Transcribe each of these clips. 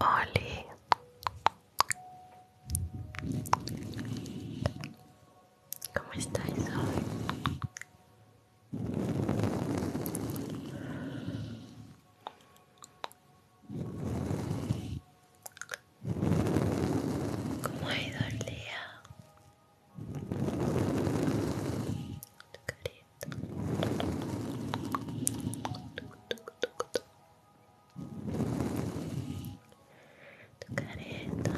Oli ¿Cómo estáis hoy? ¿Cómo ha ido el día? Tu careta Tu careta.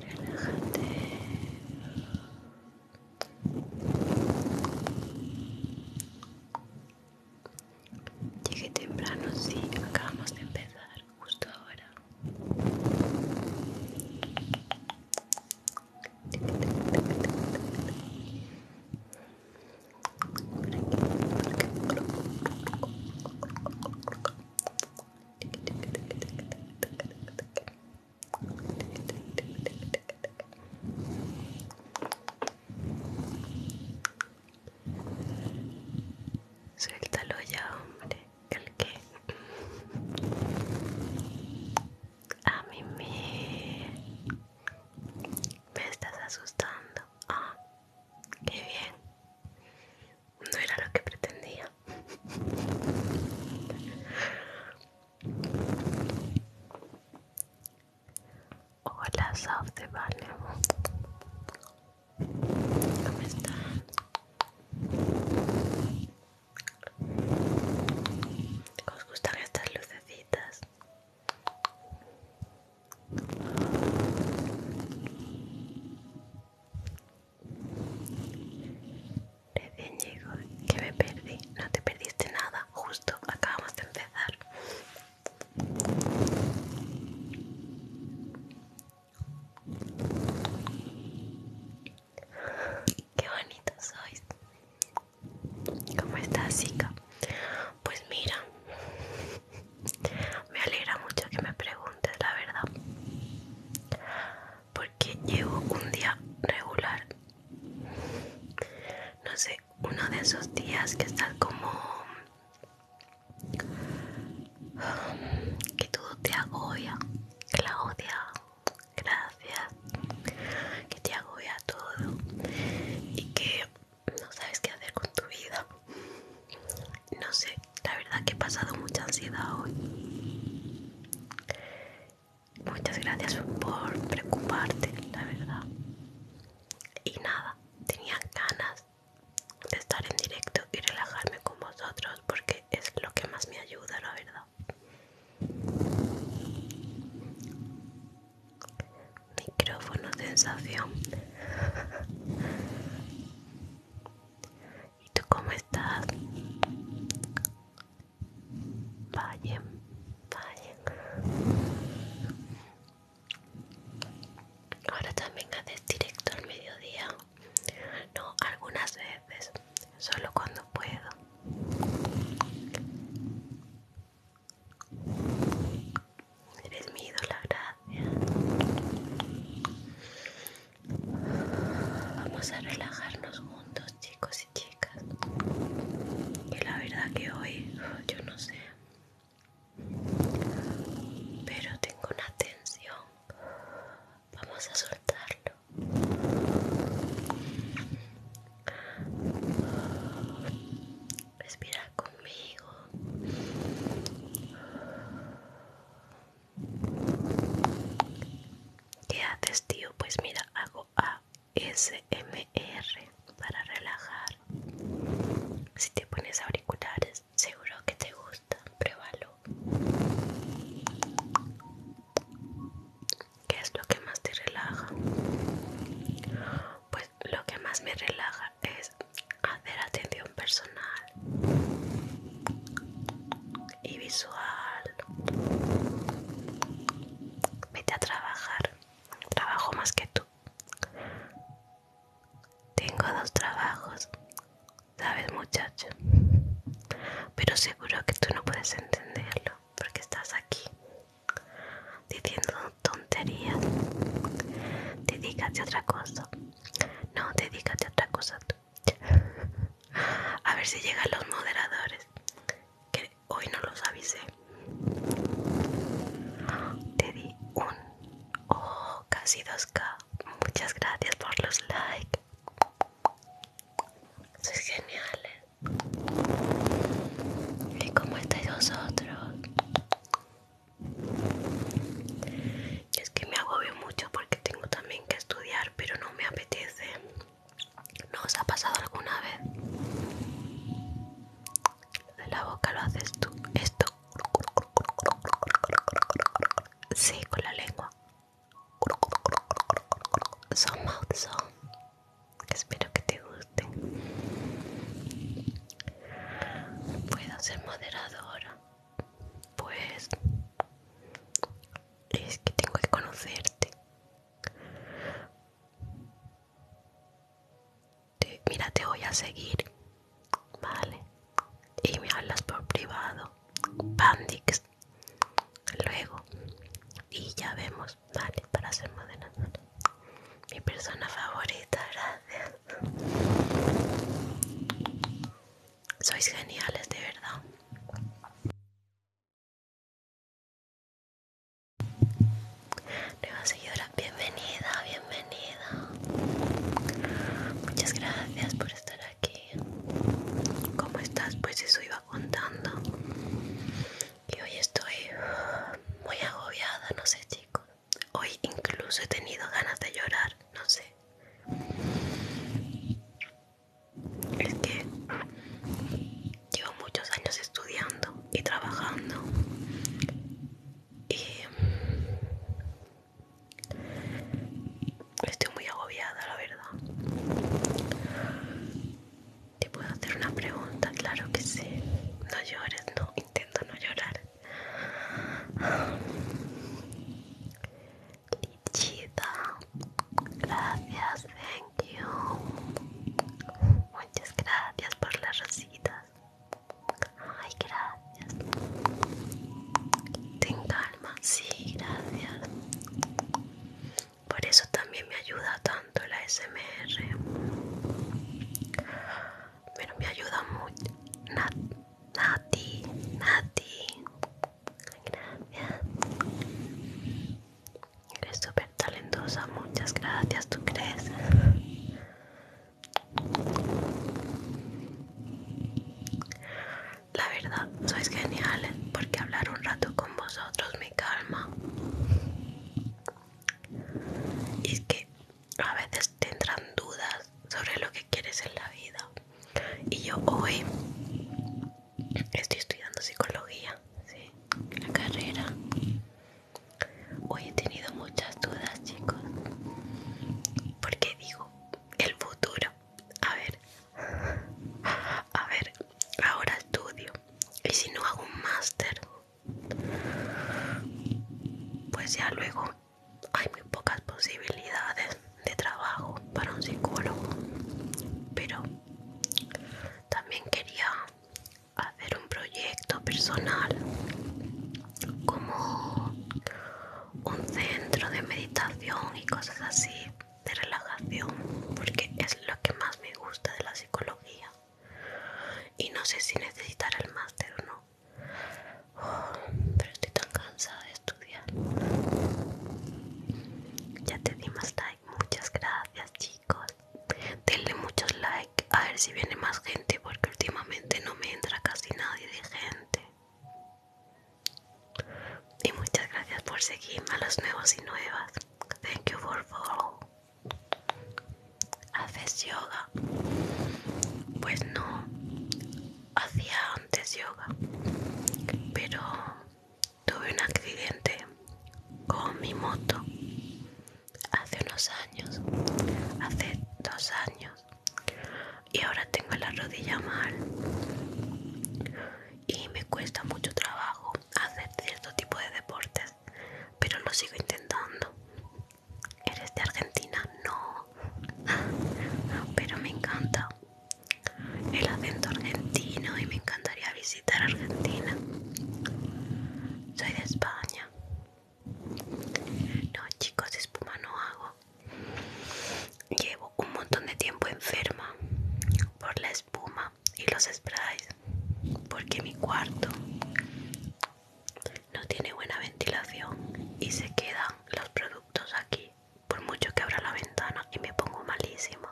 Relájate. Llegué temprano, sí, acabamos de empezar, justo ahora. Suéltalo ya, hombre. ¿El qué? A mí me... me estás asustando. Ah. Qué bien. No era lo que pretendía. Hola, soft de ¿Cómo están? ¿Os gustan estas lucecitas? Recién llegó, que me perdí. No te perdiste nada, justo acabamos de empezar. Qué bonito sois. ¿Cómo está, chica? Pues mira, me alegra mucho que me preguntes la verdad. Porque llevo un día regular. No sé, uno de esos días que estás como... Que todo te agobia. Claudia, gracias. Que te agobia todo. Y que no sabes qué hacer con tu vida. No sé, la verdad que he pasado mucha ansiedad hoy. Muchas gracias por preocuparte, la verdad. Y nada, tenía ganas de estar en directo y relajarme con vosotros porque es lo que más me ayuda, la verdad. Micrófono sensación. ¿Y tú cómo estás? Vaya, vayan. Ahora también haces directo al mediodía. No, algunas veces, solo cuando puedo. Eres mi la gracia Vamos a relajarnos juntos, chicos y chicas. y la verdad que hoy, yo no sé. Pero tengo una tensión. Vamos a soltarlo. Respira conmigo. ¿Qué haces, tío? Pues mira, hago ASMR para relajar. Si te pones auriculares, seguro que te gusta. Pruébalo. ¿Qué es lo que más te relaja? Pues lo que más me relaja es hacer atención personal y visual. Vete a trabajar. Trabajo más que tú. Tengo dos trabajos, ¿sabes muchacho? Pero seguro que tú no puedes entenderlo porque estás aquí diciendo tonterías. Dedícate a otra cosa. No, dedícate a otra cosa A ver si llegan los moderadores. Que hoy no los avisé. Te di un. Oh, casi 2K. Muchas gracias por los likes. Sois geniales. ¿eh? ¿Y cómo estáis vosotros? Y es que me agobio mucho porque tengo también que estudiar, pero no me apetece. ¿No os ha pasado alguna vez? De la boca lo haces tú. Esto. Sí, con la lengua. Son mouth Espero que te guste. Puedo ser moderadora. Pues es que tengo que conocerte. mira, te voy a seguir. Vale. Y me hablas por privado. Pandix. Luego. Y ya vemos. Vale, para ser moderadora. Mi persona favorita, gracias. Sois geniales, de verdad. Nueva seguidora, bienvenida, bienvenida. Muchas gracias por estar aquí. ¿Cómo estás? Pues eso iba contando. Y hoy estoy muy agobiada, no sé chicos. Hoy incluso he tenido ganas de llorar, no sé. Es que llevo muchos años estudiando y trabajando y estoy muy agobiada, la verdad. Te puedo hacer una pregunta, claro que sí. No llores, no, intento no llorar. Lichita, gracias, thank you. Muchas gracias por las rositas. Ay, gracias. Ten calma, sí, gracias. Por eso también me ayuda tanto la SMR. Pero me ayuda mucho. Nat Nati, Nati, gracias. Eres súper talentosa, muchas gracias, ¿tú crees? La verdad, sois geniales ¿eh? porque hablar un rato con vosotros me calma. Y es que a veces tendrán dudas sobre lo que quieres en la vida. Y yo hoy estoy estudiando psicología, ¿sí? la carrera. Hoy he tenido muchas dudas, chicos, porque digo, el futuro, a ver, a ver, ahora estudio. Y si no hago un máster, pues ya luego hay muy pocas posibilidades de trabajo para un psicólogo pero también quería hacer un proyecto personal como un centro de meditación y cosas así de relajación porque es lo que más me gusta de la psicología y no sé si necesitar el máster o no pero estoy tan cansada de estudiar. Ya te di más like. Muchas gracias, chicos. Denle muchos like. A ver si viene más gente. Porque últimamente no me entra casi nadie de gente. Y muchas gracias por seguirme a los nuevos y nuevas. Thank you for follow. ¿Haces yoga? Pues no hacía antes yoga, pero tuve un accidente con mi moto hace unos años, hace dos años, y ahora tengo la rodilla mal y me cuesta mucho trabajo hacer cierto tipo de deportes, pero lo sigo intentando. ¿Eres de Argentina? No, pero me encanta el acento argentino y me encantaría visitar Argentina. Soy de España. No, chicos, espuma no hago. Llevo un montón de tiempo enferma por la espuma y los sprays, porque mi cuarto no tiene buena ventilación y se quedan los productos aquí por mucho que abra la ventana y me pongo malísimo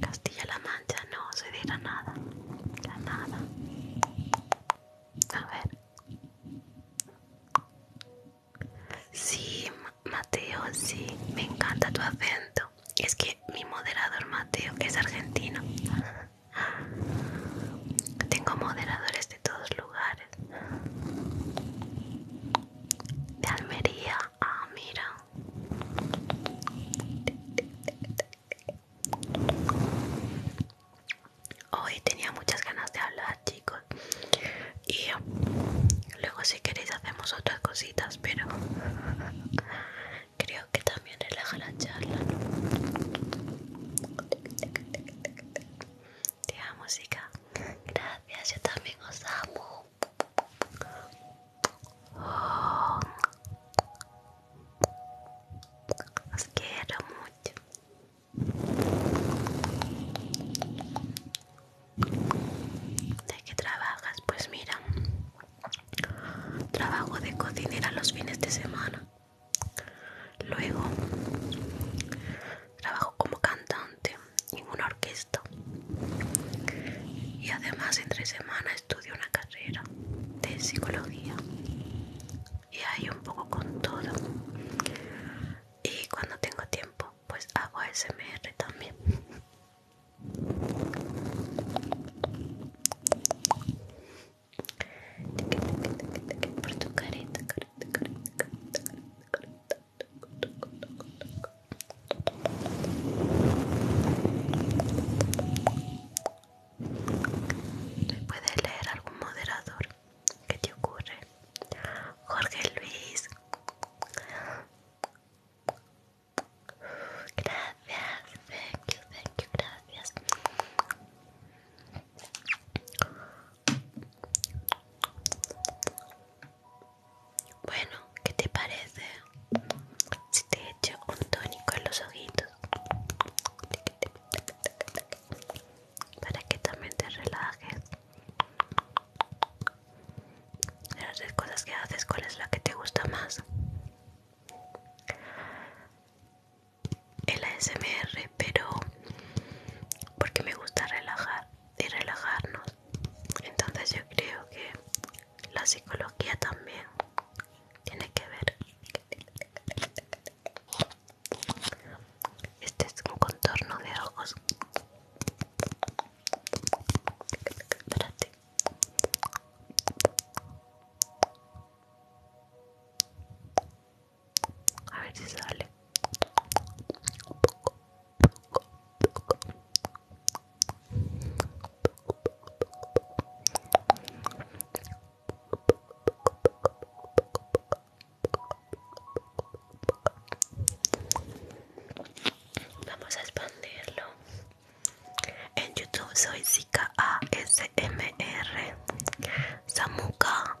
Castilla-La Mancha no se dirá nada nada A ver. Sí, Mateo, sí, me encanta tu acento. Es que mi moderador Mateo es argentino. Tengo moderadores de todos lugares. De Almería. Ah, mira. Hoy tenía muchas ganas de hablar, chicos. Y eh, luego si queréis hacemos otras cositas, pero creo que también bien relaja la charla. Te amo, chica. Gracias, yo también os amo. Os quiero mucho. ¿De qué trabajas? Pues mira, trabajo de cocinera los fines de semana. Luego trabajo como cantante en una orquesta y además en tres semanas estudio una carrera de psicología y ahí un poco con todo y cuando tengo tiempo pues hago ASMR también por tu carita leer algún moderador? ¿Qué te ocurre? Jorge Luis. Gracias, thank gracias. Bueno, ¿qué te parece? Si te echo un tónico en los ojitos para que también te relajes. De las tres cosas que haces, ¿cuál es la que te gusta más? el ASMR, pero porque me gusta relajar y relajarnos. Entonces yo creo que la psicología también tiene que ver. Este es un contorno de ojos. Espérate. A ver si sale. Vamos a expandirlo. En YouTube soy Zika ASMR. Samuka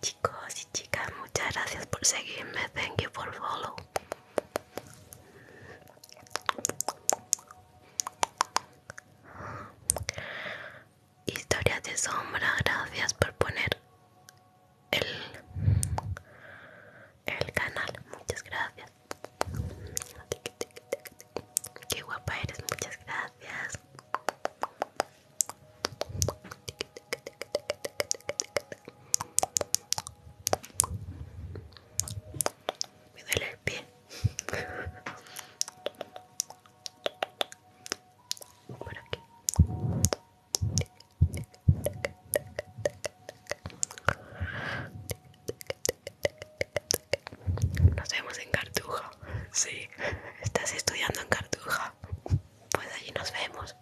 Chicos y chicas, muchas gracias por seguirme. Thank you for follow. Historias de sombra, gracias por poner el, el canal. Muchas gracias. Qué guapa eres, muchas gracias. Me duele el pie. Por aquí. Nos vemos en Cartuja. Sí, estás estudiando en Cartuja pues allí nos vemos.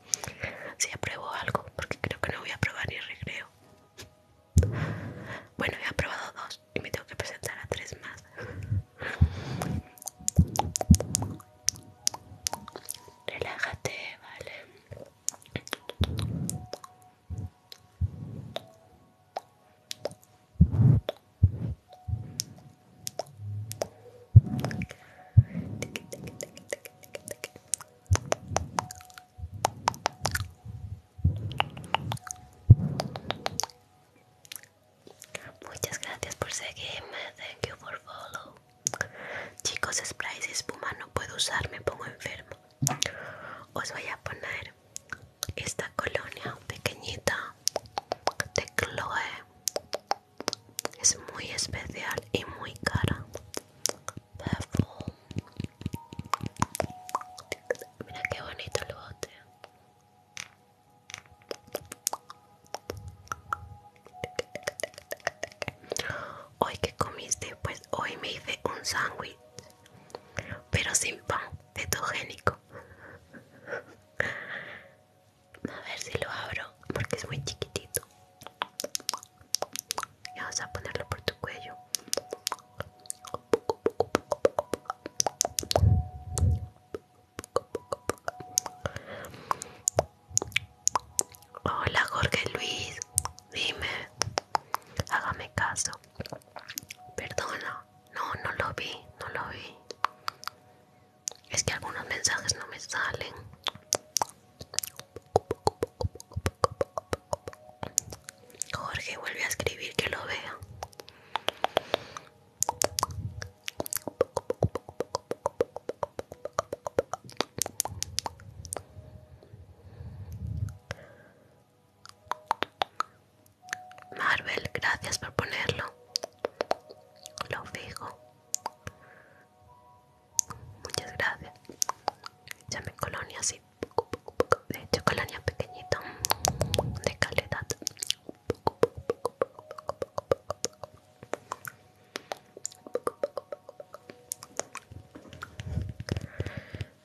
Si apruebo algo, porque creo que no voy a probar ni recreo. Bueno, he aprobado dos y me tengo que presentar a tres más. Relájate, vale. Muchas gracias por seguirme, thank you for follow. Chicos, sprays y espuma no puedo usar, me pongo enfermo. Os voy a poner esta colonia pequeñita de Chloe es muy especial y muy cara mira qué bonito el bote hoy que comiste pues hoy me hice un sándwich pero sin pan cetogénico a ver si lo abro porque es muy chiquitito y vas a ponerlo por tu cuello Hola Jorge Luis, dime, hágame caso. Perdona, no, no lo vi, no lo vi. Es que algunos mensajes no me salen. Jorge vuelve a escribir que lo vea. Marvel, gracias por ponerlo. Lo fijo. Muchas gracias. Échame colonia así. De hecho, colonia pequeñita. De calidad.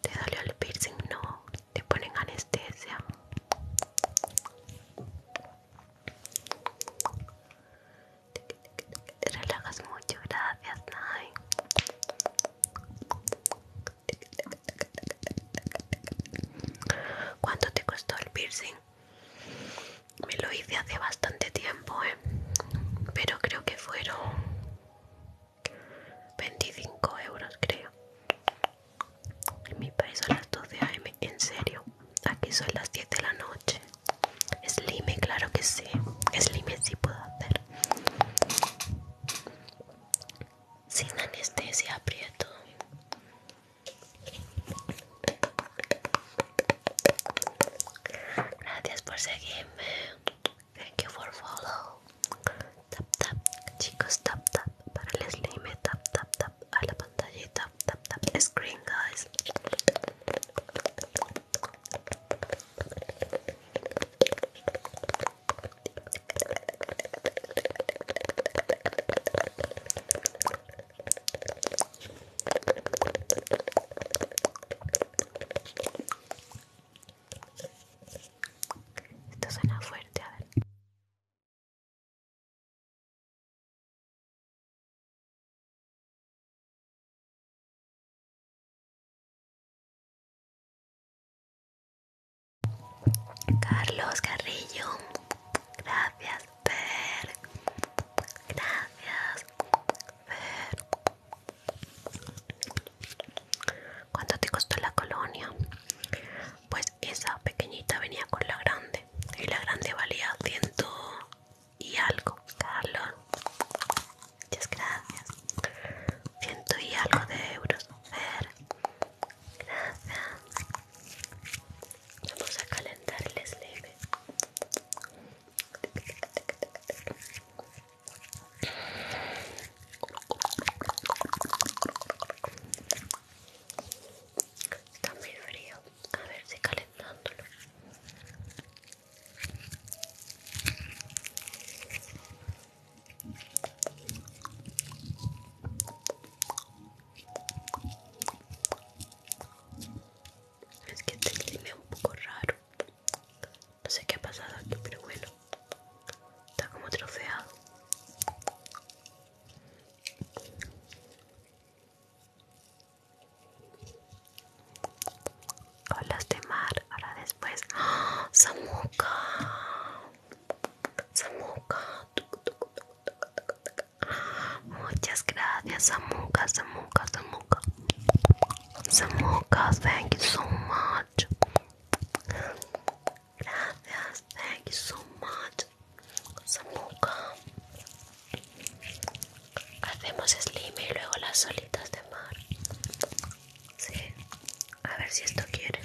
¿Te dolió el piercing? No. Te ponen anestesia. Te relajas mucho, gracias, ¿Cuánto te costó el piercing? Me lo hice hace bastante tiempo, ¿eh? pero creo que fueron 25 euros, creo. En mi país son las 12 am, en serio. Aquí son las 10 de la noche. Slime, claro que sí. Slime sí puedo hacer. Sin anestesia aprieto. Gracias por seguirme. Thank you for follow. Tap tap, chicos, tap tap para el slime, tap tap tap a la pantalla tap tap tap screen, guys. Esto suena fuerte, a ver. Carlos Carrillo, gracias Fer, gracias Fer. ¿Cuánto te costó la colonia? Pues esa pequeñita venía con la grande y la grande valía 100, y algo, Carlos. Muchas gracias. Ciento y algo de euros. ver Gracias. Vamos a calentar el slime. Está muy frío. A ver si calentándolo. Es que te este clima un poco raro. No sé qué ha pasado aquí, pero bueno. Está como trofeado. Hola de mar, ahora después. ¡Ah! Samuka Samuka Muchas gracias, Samuka Samuka Samuka Samuca, thank you so much. Gracias, thank you so much. Samuka Hacemos slime y luego las solitas de mar. Sí, a ver si esto quiere.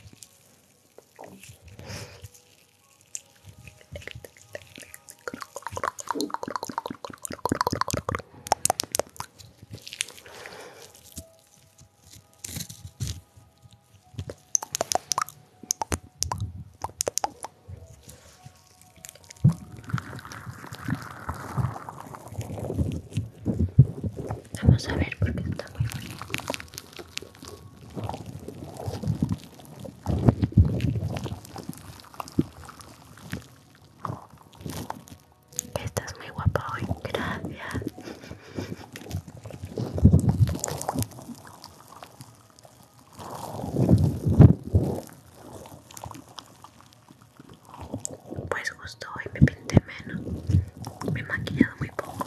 Vamos a ver porque está muy bonito. estás muy guapa hoy, gracias. Pues gustó y me pinté menos, me he maquillado muy poco.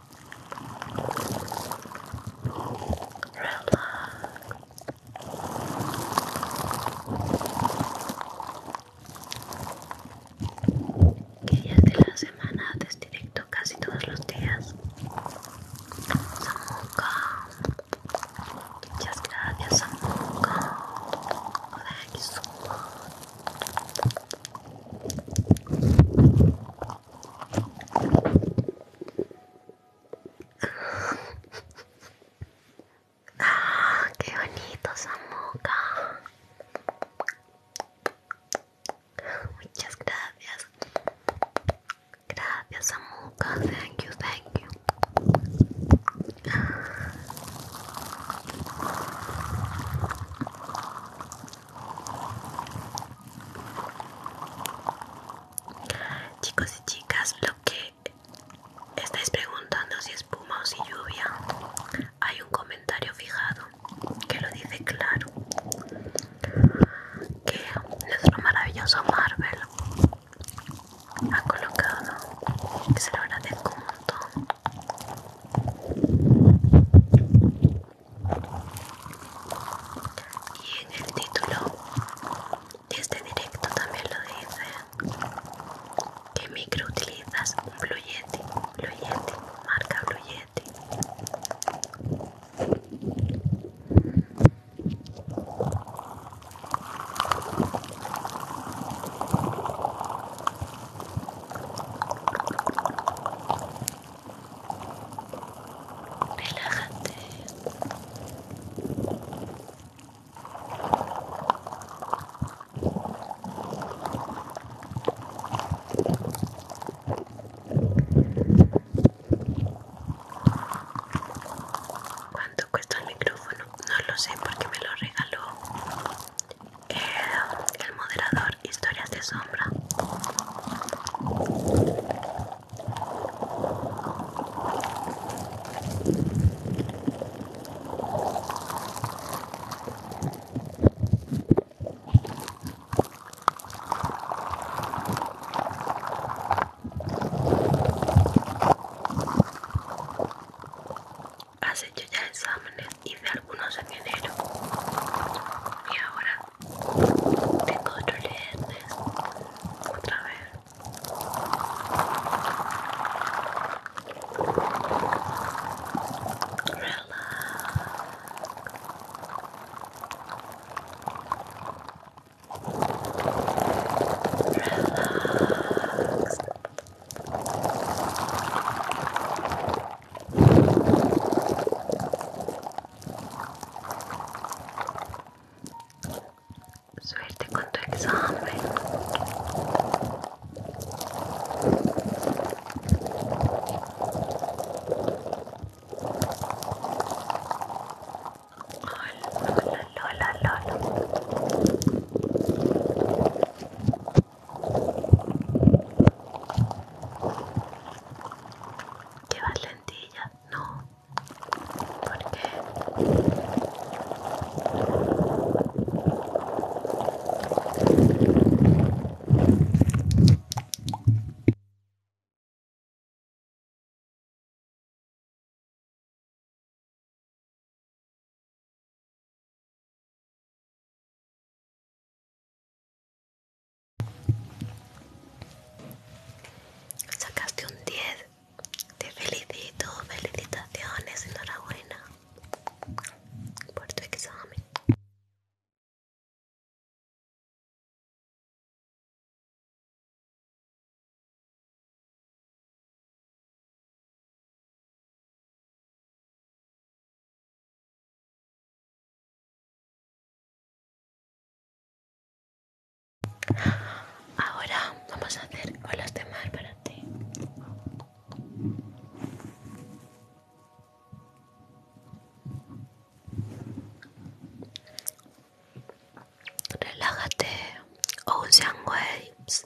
Que días de la semana haces directo casi todos los días. Samuka. Muchas gracias, Samuka. Thank you Ah, qué bonito Samuca. Muchas gracias. Gracias Samuca. Thank you, thank you. Chicos y chicas, lo que estáis preguntando si espuma o si lluvia, hay un comentario fijado que lo dice claro. Que nuestro maravilloso Marvel ha colocado, que se lo agradezco un montón. Y en el título de este directo también lo dice que micro utilizas un Blue Yeti, Blue Yeti, marca Blue Yeti. Relájate. ¿Cuánto cuesta el micrófono? No lo sé porque me lo regaló el moderador Historias de Sombra. ¿Has hecho ya exámenes? hice algunos en enero y ahora tengo otros lentes otra vez Relax. Relax. Suerte con tu examen. Hola, hola, hola, hola. ¿Llevas lentilla? No. ¿Por Sacaste un 10. Te felicito, felicitaciones, enhorabuena por tu examen. Ahora vamos a hacer olas de mar para ti. Relájate, Ocean Waves.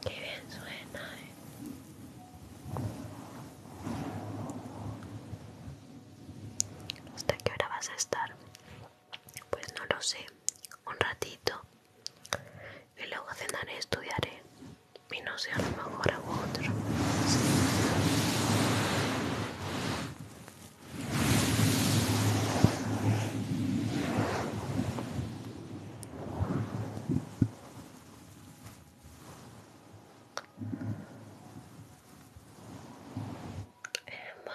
Qué bien suena. ¿Hasta qué hora vas a estar? Pues no lo sé. Un ratito y luego cenaré estudiaré. Y no sé, a lo mejor hago otro. Emma.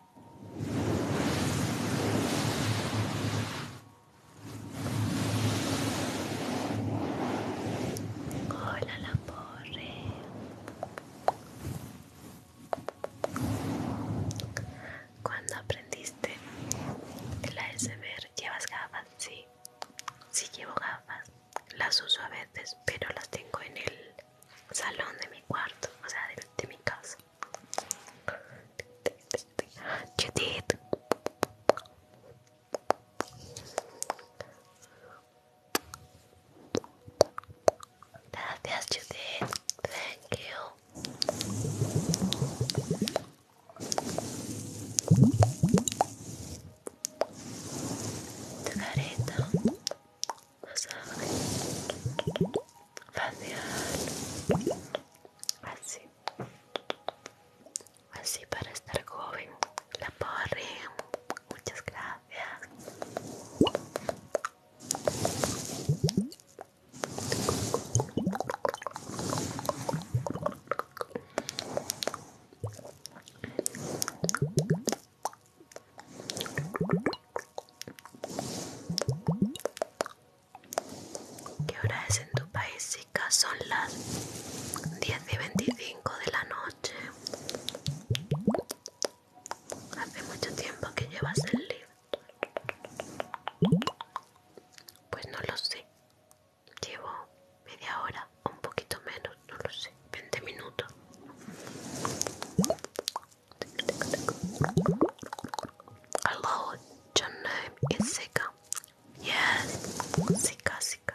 Hola, la porre. Cuando aprendiste la ASMR, ¿llevas gafas? Sí, sí llevo gafas. Las uso a veces, pero las tengo en el salón de mi cuarto, o sea, de, mi casa. Judith. Gracias, Judith. Thank you. Tu así así para estar joven la porre muchas gracias ¿Qué hora es en tu país, chicas? Son las 10 y 25 de la noche. Hace mucho tiempo que llevas el libro. Pues no lo sé. Llevo media hora, un poquito menos, no lo sé. 20 minutos. Hello, your name is Sika. Yes, Sika, Sika.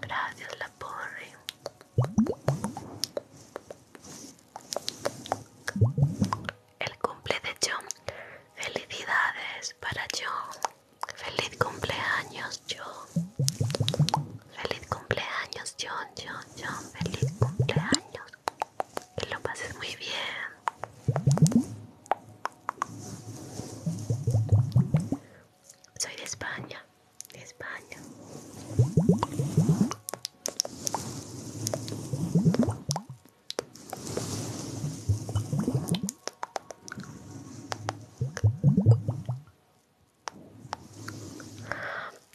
Gracias, la porri El cumple de John. Felicidades para John. Feliz cumpleaños, John. Feliz cumpleaños, John, John, John. Feliz cumpleaños. Que lo pases muy bien. Soy de España, de España.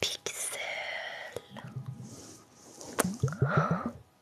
Pixel.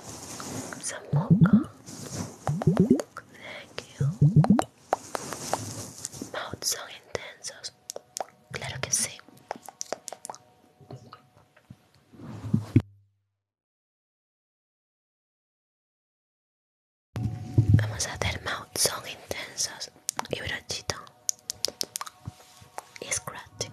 some Thank you. son intensos. Claro que sí. Vamos a hacer mouth son intensos y brochito y scratch.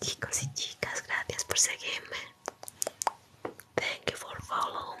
Chicos y chicas, gracias por seguirme. Thank you for following.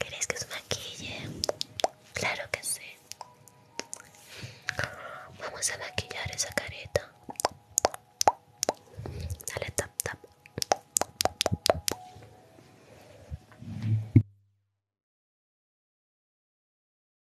¿Queréis que os maquille? Claro que sí. Vamos a maquillar esa careta. Dale tap tap.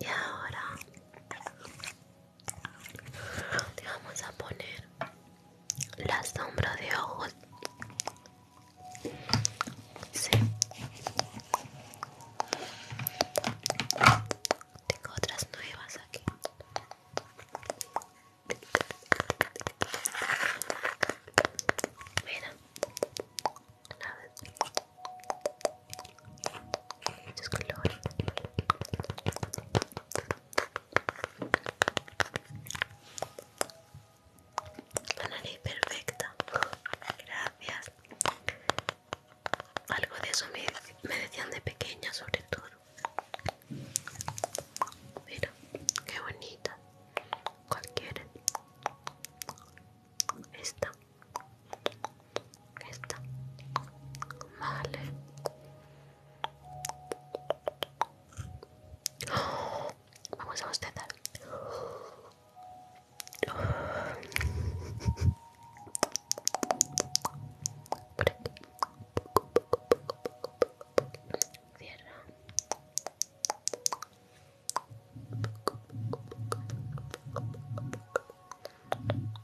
y ahora te vamos a poner la sombra de ojos sí. tengo otras nuevas aquí Mira, colores la nariz perfecta gracias algo de eso me, me decían de pequeña sobre todo mira qué bonita cualquiera esta, esta, vale. Vamos a bostezar. Cierra.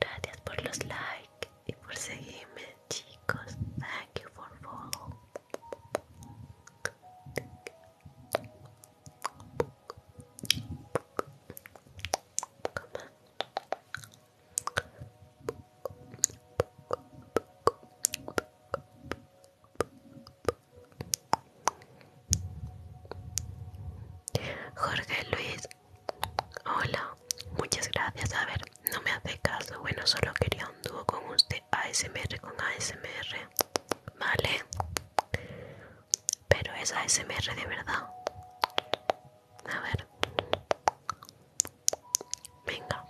Gracias por los likes y por seguirme, chicos. Thank you for follow. Jorge Luis, hola, muchas gracias. A ver, no me hace caso. Bueno, solo quería un dúo con usted, ASMR con ASMR, ¿vale? Pero es ASMR de verdad. A ver, Venga,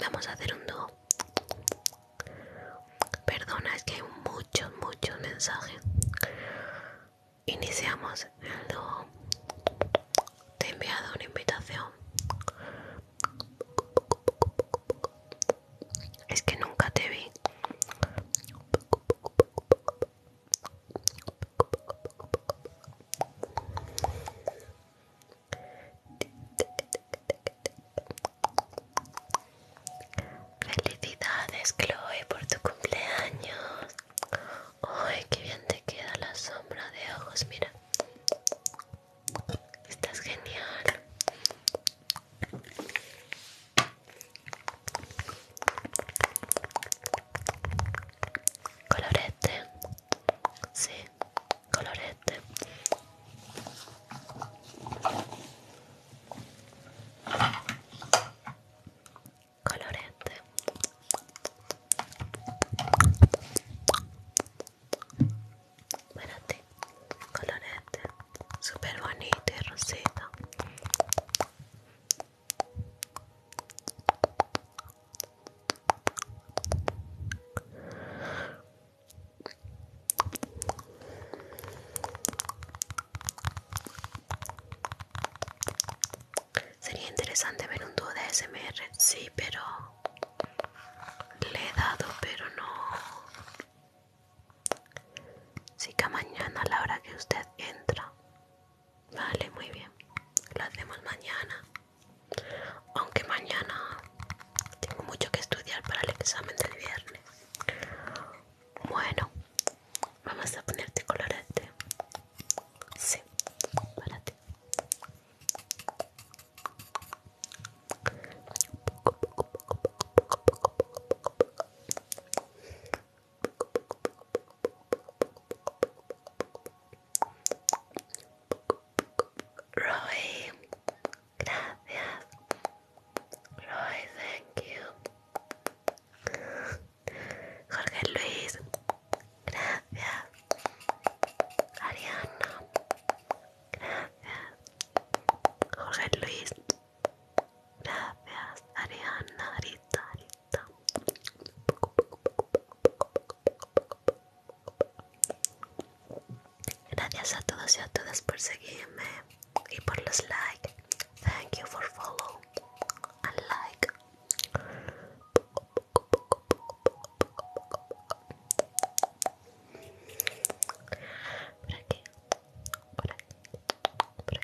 vamos a hacer un dúo. Perdona, es que hay muchos, muchos mensajes. Iniciamos el dúo. Te he enviado una invitación. Es que nunca te vi. Felicidades Chloe por tu cumpleaños. Ay, qué bien te queda la sombra de ojos, mira. Estás genial. Colorete. Sí colorete colorete bueno ti colorete super bonito y e rosito Sería interesante ver un dúo de SMR, sí, pero le he dado, pero no. Sí que mañana a la hora que usted entra. Vale, muy bien. Lo hacemos mañana. Aunque mañana tengo mucho que estudiar para el examen del viernes. Bueno, vamos a ponerte colorete. Sí, Roy, gracias. Roy, thank you. Jorge Luis, gracias. Ariana, gracias. Jorge Luis, gracias. Ariana, Arita, Arita. Gracias a todos y a todas por seguirme y por los likes. Thank you for follow and like. Por aquí, por aquí, por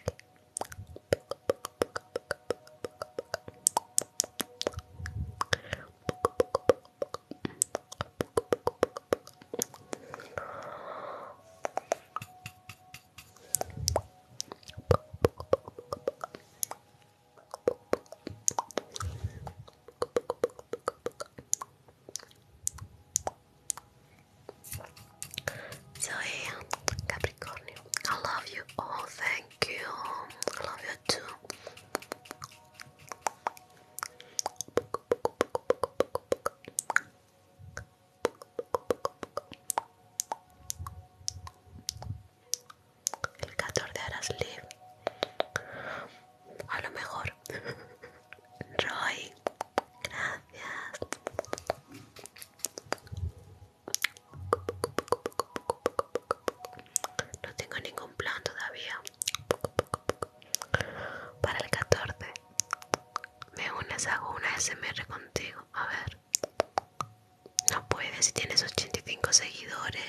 So Capricornio, I love you. Oh, thank you. I love you too. El 14 harás live. A lo mejor. Roy, gracias. No tengo ningún plan todavía. Para el 14 Me unes, hago una SMR contigo A ver No puedes, si tienes 85 seguidores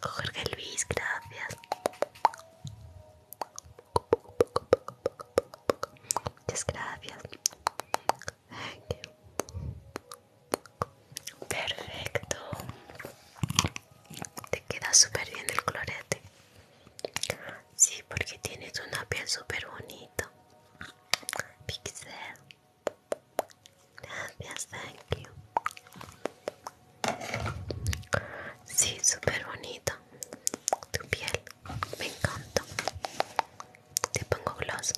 Jorge Luis, gracias Muchas gracias Perfecto te queda súper bien el colorete sí porque tienes una piel súper bonita pixel gracias thank you sí súper bonito tu piel me encanta te pongo gloss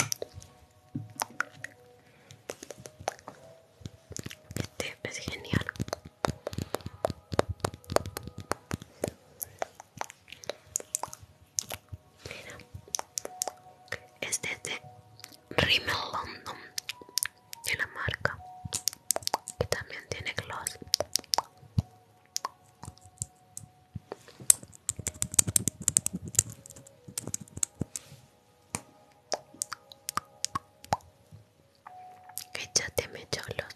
este es genial Mira, este es de Rimmel London de la marca que también tiene gloss me cholos.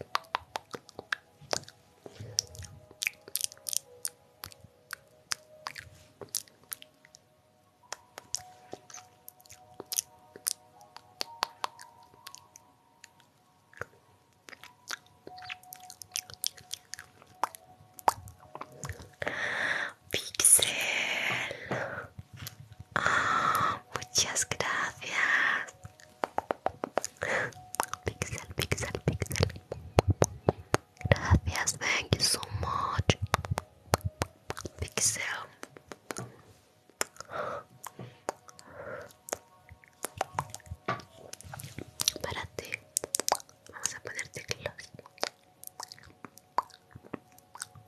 Pixel. Ah, Muchas gracias. Pixel, pixel, pixel. Gracias, thank you so much. Pixel. Párate. Vamos a ponerte close.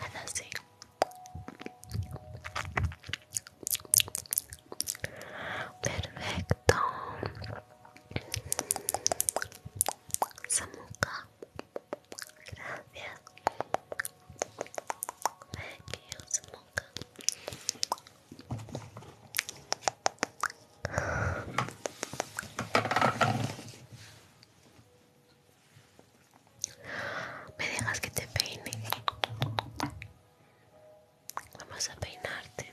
Ahora sí. Perfecto. Samuka. Gracias. Que Me dejas que te peine. Vamos a peinarte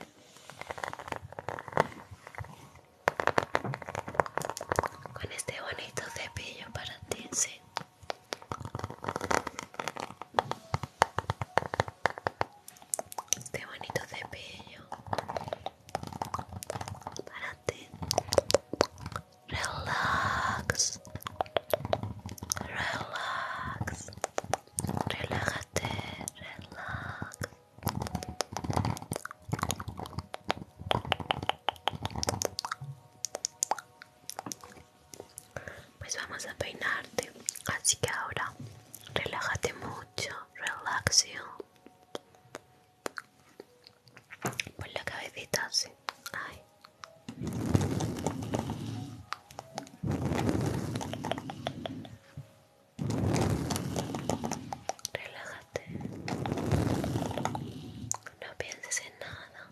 con este bonito cepillo para ti, sí. Este bonito cepillo para ti. Relax. Relax. Relájate. Relax. Pues vamos a peinarte, así que ahora relájate mucho, relaxio. Pon la cabecita así. Ay. Relájate. No pienses en nada.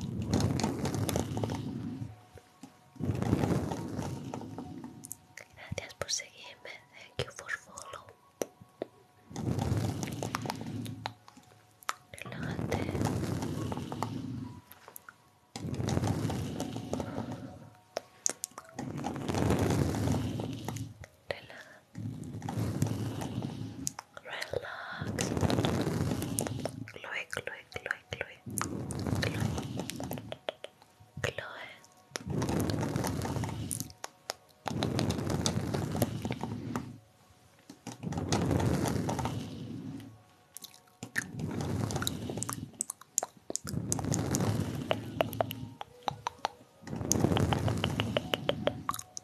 Gracias por seguirme. Thank you for follow. Relájate. Relájate. Relax. Chloe, Chloe, Chloe, Chloe, Chloe, Chloe. Chloe,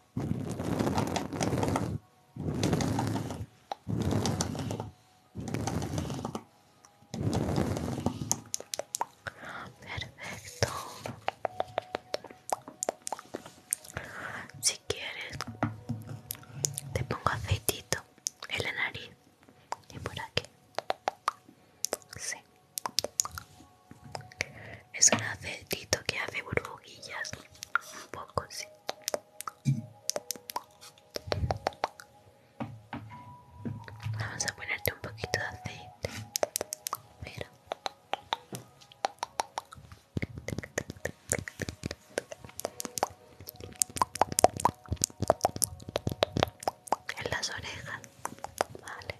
Perfecto. Si quieres, te pongo aceitito en la nariz y por aquí. Sí. Es un aceitito que hace burbujillas. Un poco, así. Vamos a ponerte un poquito de aceite. Mira. En las orejas. Vale.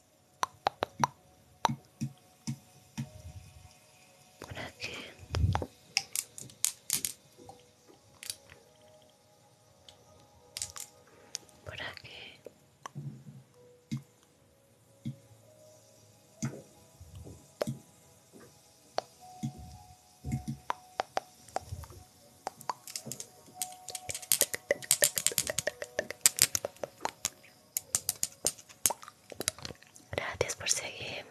por aquí por aquí Gracias por seguirme.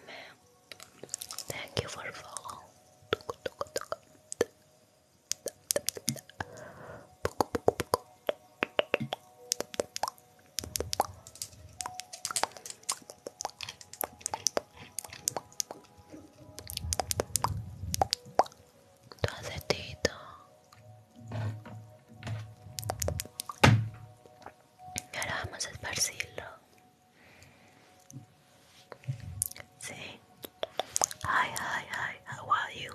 Thank you for follow. Todo y ahora vamos a esparcirlo. Sí. Ay, ay, ay, How are you?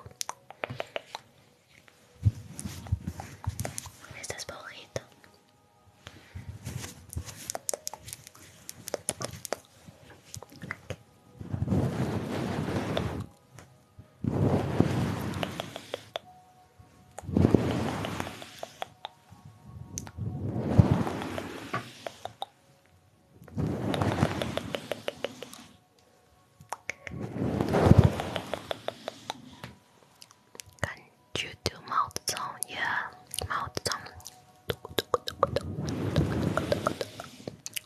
¿Estás Can you do mouth sound? Yeah, mouth sound.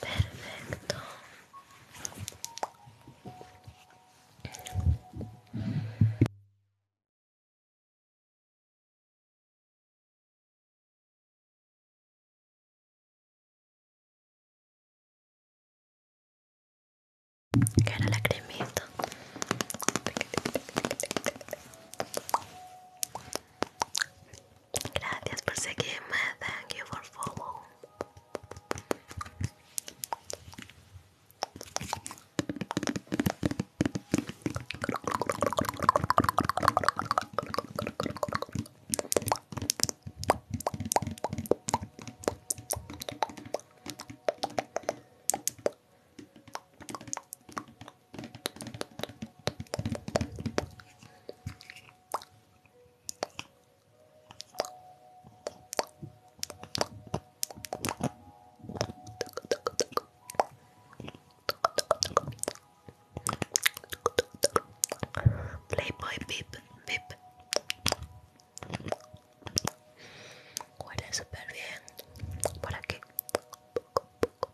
Perfecto. Que era la cremita. Gracias por seguirme. Thank you for following. Playboy beep beep. Huele súper bien por aquí. Poco,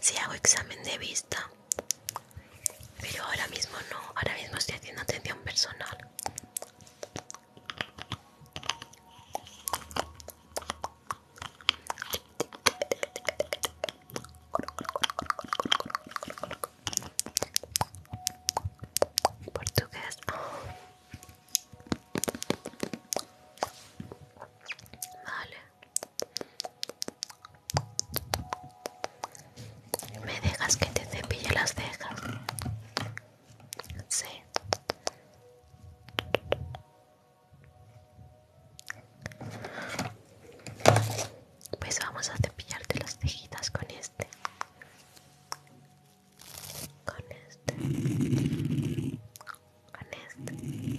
Si hago examen de vista, pero ahora mismo no, ahora mismo estoy haciendo atención personal. Portugués. Vale. ¿Me dejas que te cepille las cejas? Sí. Pues vamos a cepillarte las cejitas con este. Con este. Con este.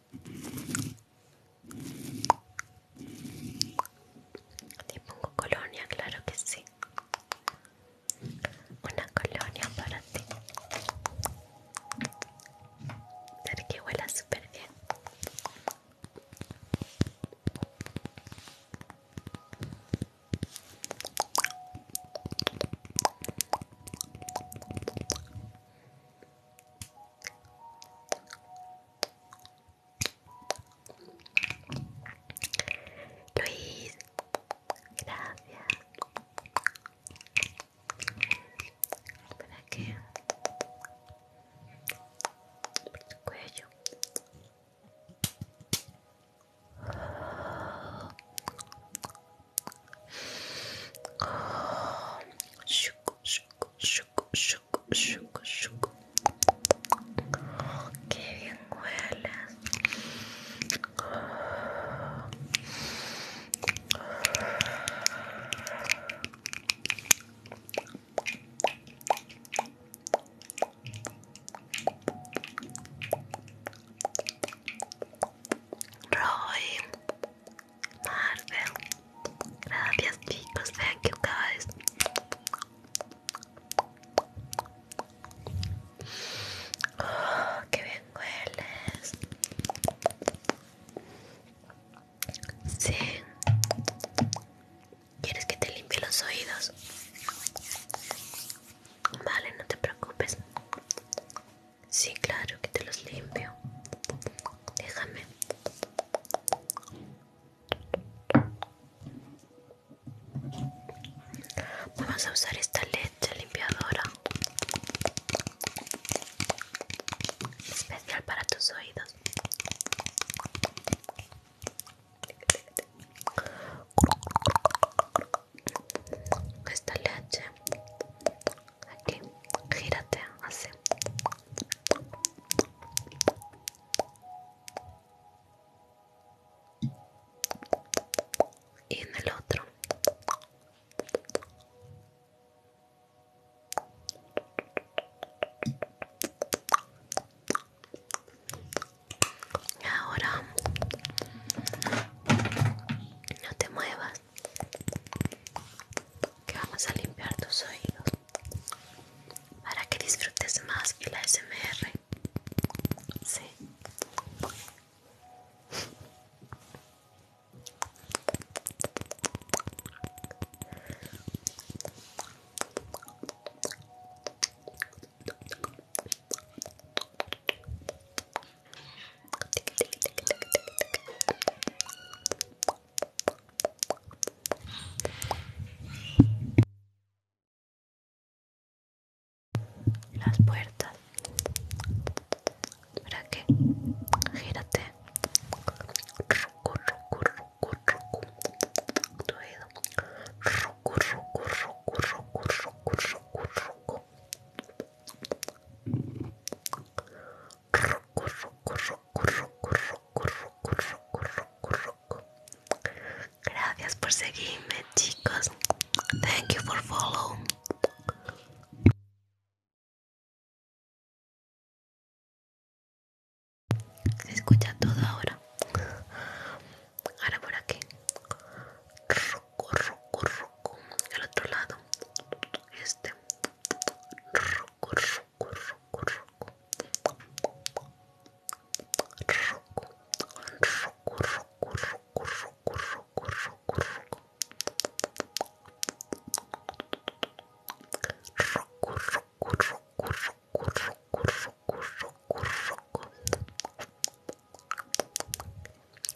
Te pongo colonia, claro que sí. Una colonia para ti. ver que huela súper bien. Luis, gracias. Para que por tu cuello. Oh. shook, shook, shook, shook, shook. Oh, qué bien huelas. Roy, Marvel. Gracias chicos, thank you guys. Oh, qué bien hueles. Sí. ¿Quieres que te limpie los oídos? Vale, no te preocupes. Sí, claro que te los limpio. Déjame. Vamos a usar esta leche limpiadora especial para tus oídos. Esta leche aquí, gírate así y en el otro ahora no te muevas que vamos a limpiar tus oídos para que disfrutes más el ASMR. Sí las puertas para que gírate rucu, rucu, rucu, oído rucu, rucu, rucu, rucu, rucu, rucu, rucu roco, Gracias por seguirme, chicos. Thank you for follow. Se escucha todo ahora. Ahora por aquí. Roco, roco, roco. El otro lado. Este.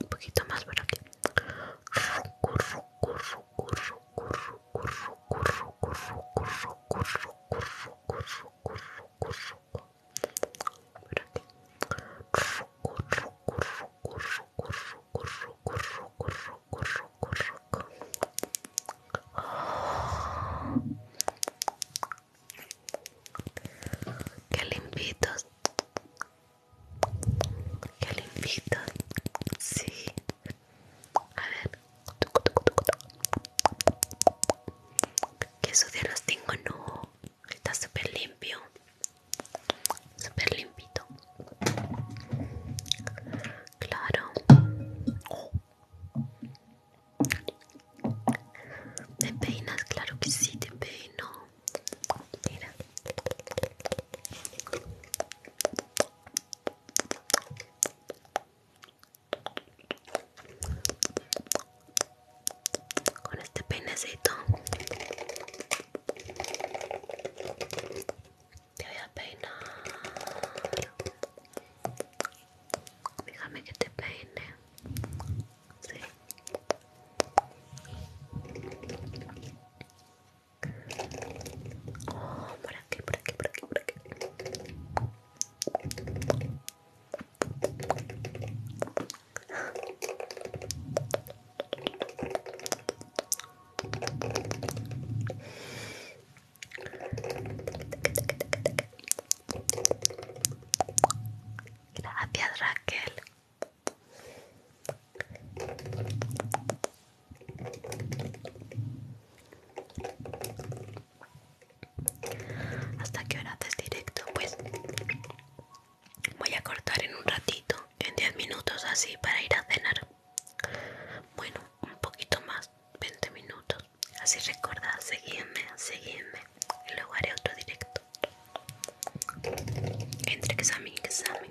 Un poquito más por aquí. Qué limpitos. limpitos. Sí. A ver. que ¿Qué los tengo? No. Está súper limpio. Súper limpito. Claro. ¿Te peinas? Claro que sí, te peino. Mira con este peinecito te voy a peinar déjame que te peine sí por aquí, por aquí, por aquí, por aquí. Gracias Raquel. ¿Hasta qué hora directo? Pues voy a cortar en un ratito, en 10 minutos así para ir a cenar. Bueno, un poquito más, 20 minutos. Así recuerda, seguidme, seguidme. Y luego haré otro directo. Entre examen y examen.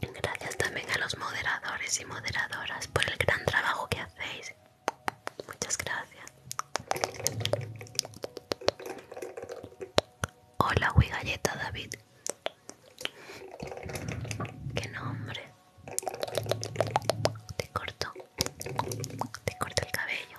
Gracias también a los moderadores y moderadoras por el gran trabajo que hacéis. Muchas gracias. Hola, Wigalleta Galleta David. Qué nombre. Te corto. Te corto el cabello.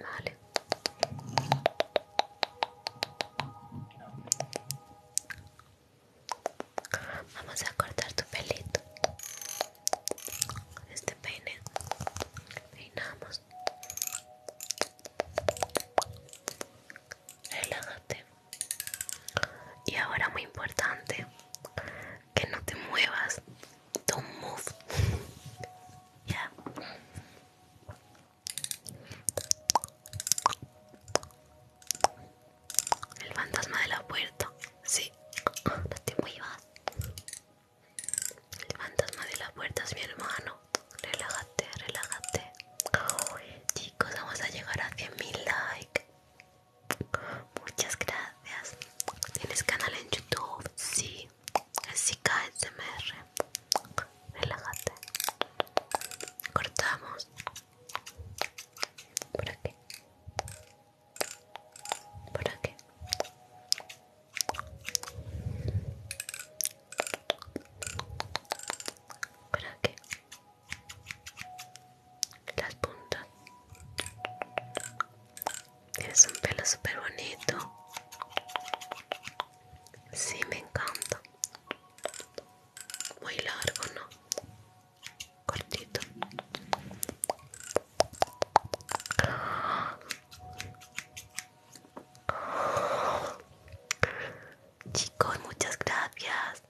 Vale. Vamos a cortar tu pelito. este peine. Peinamos. Relájate. Y ahora muy importante que no te muevas Don't move. yeah. El fantasma de la puerta. Sí. No muy muevas. El fantasma de la puerta es mi hermano. Relájate, relájate. chicos, vamos a llegar a 100.000 likes. Muchas gracias. ¿Tienes canal en YouTube? Sí aquí. Así merre. Relájate. Cortamos. Por aquí. Por aquí. Por aquí. Las puntas. Tienes un pelo súper bonito. Sí, me encanta. Muy largo, ¿no? Cortito. Chicos, muchas gracias.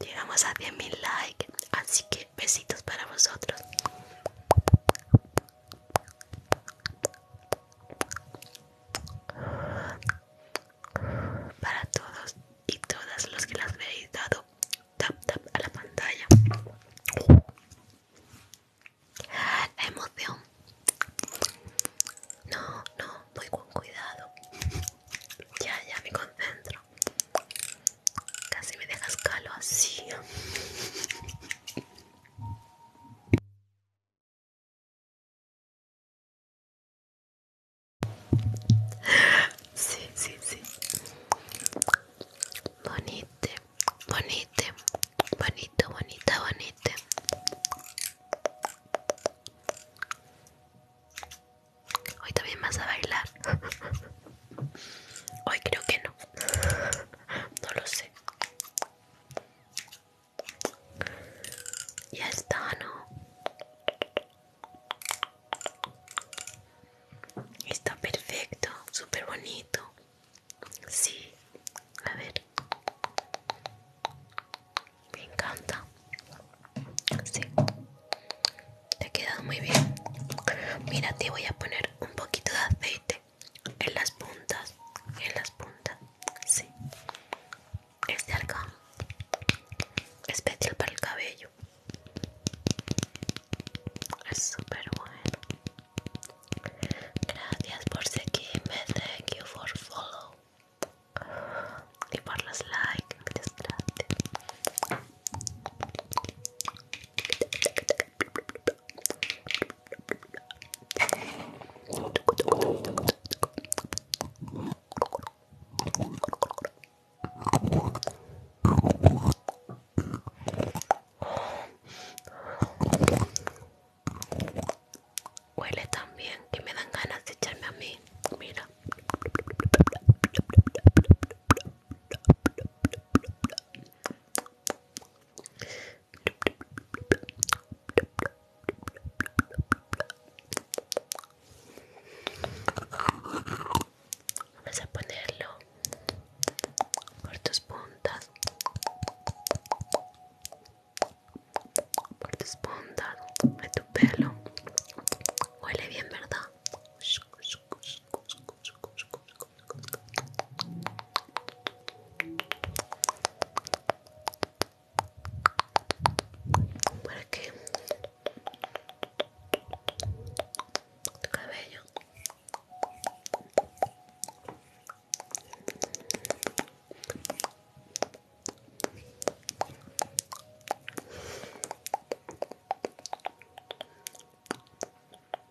Llegamos a 10.000 likes, así que besitos para vosotros. Para todos y todas los que las veis dado tap tap a la pantalla. emoción. No, no, voy con cuidado. Ya, ya me concentro. Casi me dejas calo así. Sí, sí, sí. Bonito, bonito, bonito, bonita, bonite. Hoy también vas a bailar. Hoy creo que no. No lo sé. Ya está, ¿no? Está perfecto, súper bonito. Sí, a ver. Me encanta. Sí. Te ha quedado muy bien. Mira, te voy a poner un poquito de aceite en las puntas, en las puntas, sí. este de especial para el cabello. Es súper bueno. Gracias por seguirme, thank you for follow. Y por los likes, muchas gracias. Huele también que me dan ganas de echarme a mí. Mira. Vamos a ponerlo por tus puntas, por tus puntas, de tu pelo. Huele bien, ¿verdad? para que tu cabello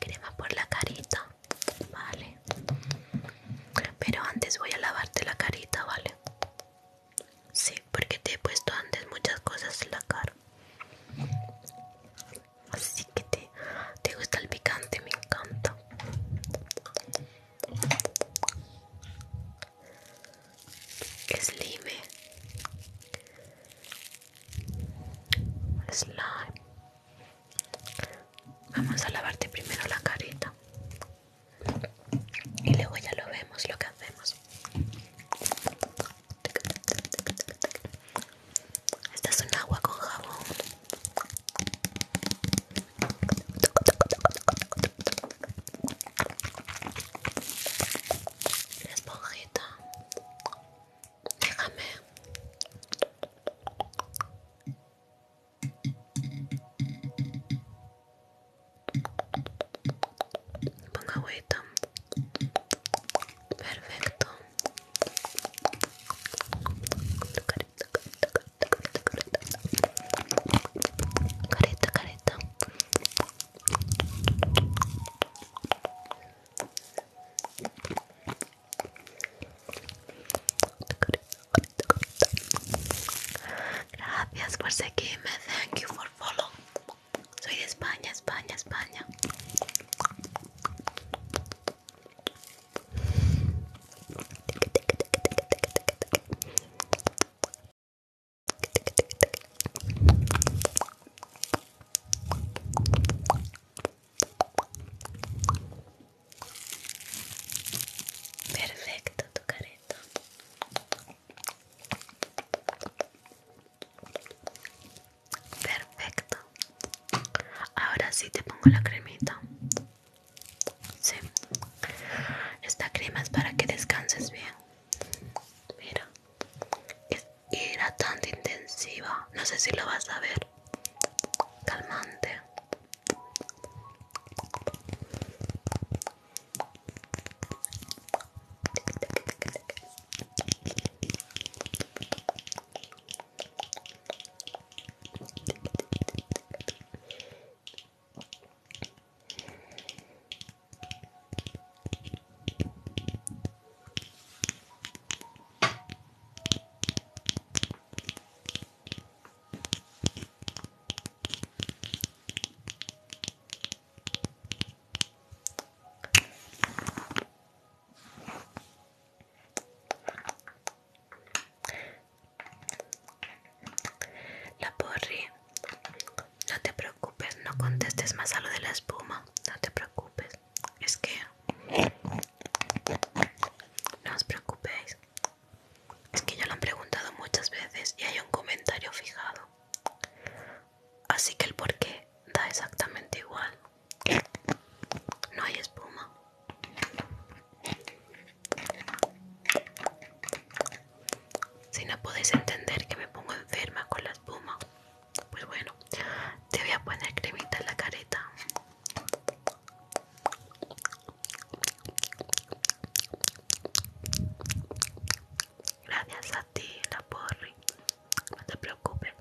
crema por la carita vale pero antes voy a lavarte la carita vale sí porque te he puesto antes muchas cosas en la cara así que te, gusta el picante me encanta slime slime vamos a lavarte primero la carita y luego ya lo vemos lo que hacemos esta es un agua con jabón la esponjita Déjame. Ponga agüita. Perfecto. Carita, carita, carita, carita, carita. Carita, carita. Gracias por seguirme. Thank you for following, Soy de España, España, España. Perfecto tu carita Perfecto. Ahora sí te pongo la cremita. Sí. Esta crema es para que descanses bien. Mira. Era tan intensiva. No sé si lo vas a ver. Calmante. La porri, no te preocupes, no contestes más a lo de la espuma, no te preocupes es que no os preocupéis es que ya lo han preguntado muchas veces y hay un comentario fijado así que el porqué da exactamente igual no hay espuma si no podéis entender que me pongo enferma con la espuma pues bueno, te voy a poner cremita en la careta. Gracias a ti, la porri. No te preocupes.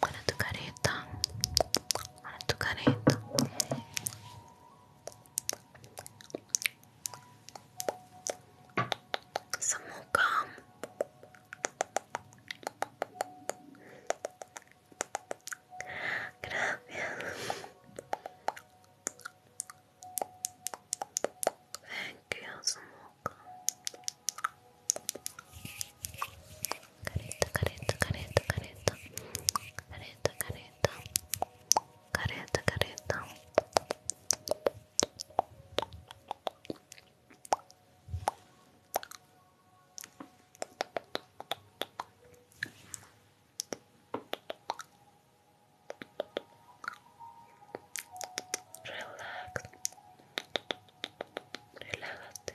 Para tu careta. Para tu careta. Some more gum. Gracias. Thank you, some more careta, careta, careta, careta, careta, careta, careta, careta. Relax, relájate,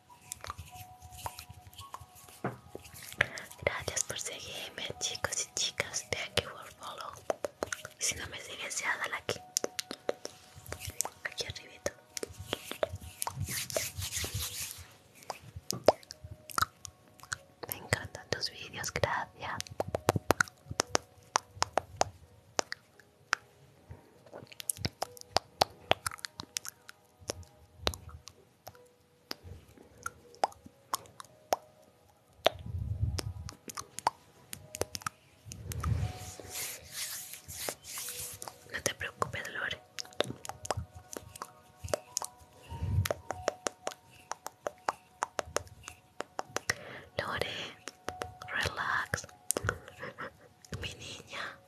Gracias por seguirme, chicos y chicas de aquí por Follow. si no me sigues, ya dale aquí. Aquí arribito. Me encantan tus vídeos, gracias. No te preocupes, Lore Lore, relax. mi niña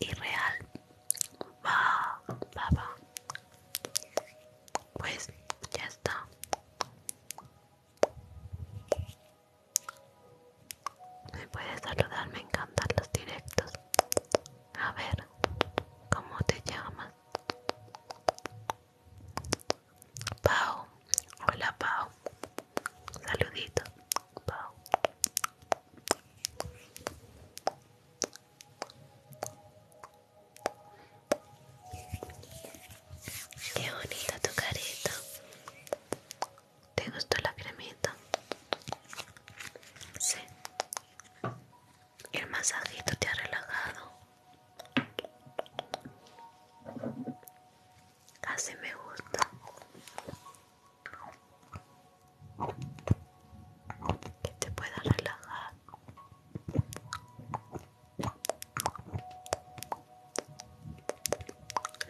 y real va pues ya está me puedes saludar me encantan los directos a ver cómo te llamas Pau hola pao saludito pao Qué bonita tu carita, ¿Te gustó la cremita? Sí. El masajito te ha relajado. casi me gusta que te pueda relajar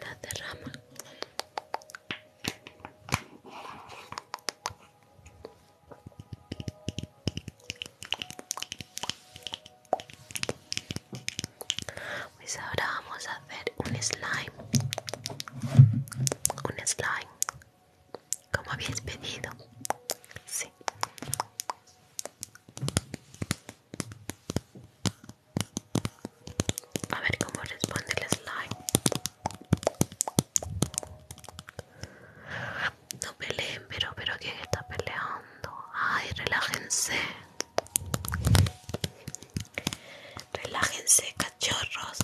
la derrama pues ahora vamos a hacer un slime un slime como habéis pedido sí a ver cómo responde el slime no peleen pero pero quién está peleando ay relájense Relájense, cachorros.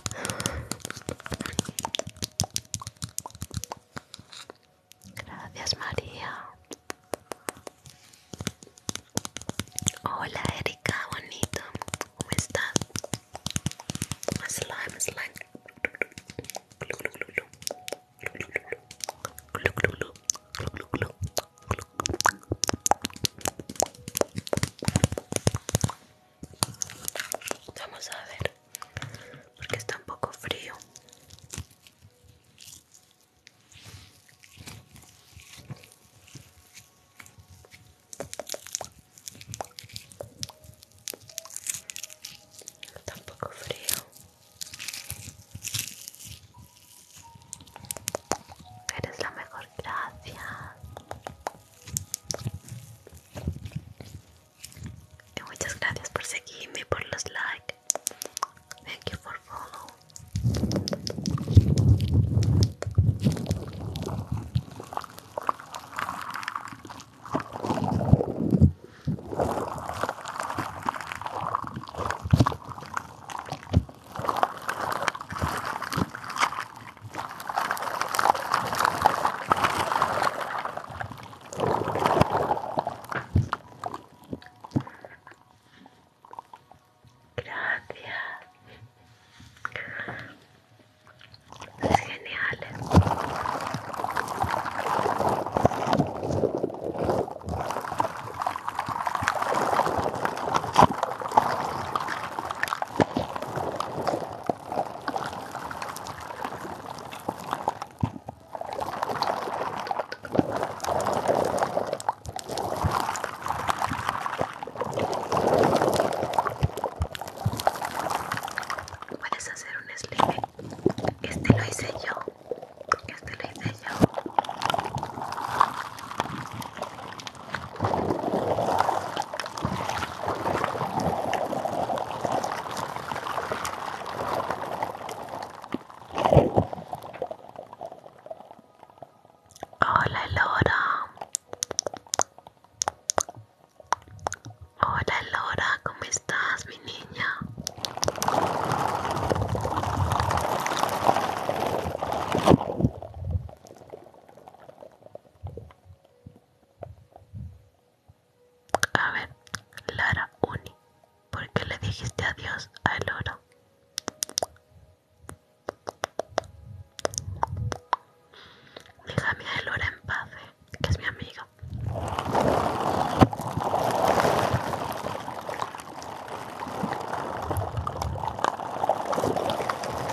Gracias, María. Hola, Erika, bonito. ¿Cómo estás? Slime, slime. Vamos a ver, porque está un poco frío. Está un poco frío. Eres la mejor, gracias. muchas gracias por seguirme, por los likes. Thank you for follow. Gracias. Es genial. Puedes hacer un slime. Este lo hice yo. Este lo hice yo. Hola Lora. Hola Lora, ¿cómo estás, mi niña? A ver, Lara Uni, ¿por qué le dijiste adiós a oro? Déjame a Elora en paz, eh, que es mi amiga.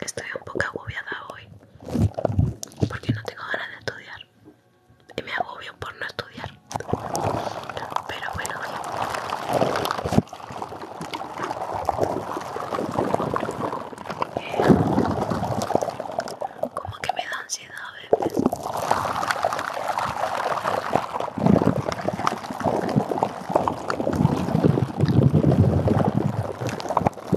estoy un poco agobiada hoy porque no tengo ganas de estudiar y me agobio por no estudiar pero bueno eh, como que me da ansiedad a veces te qué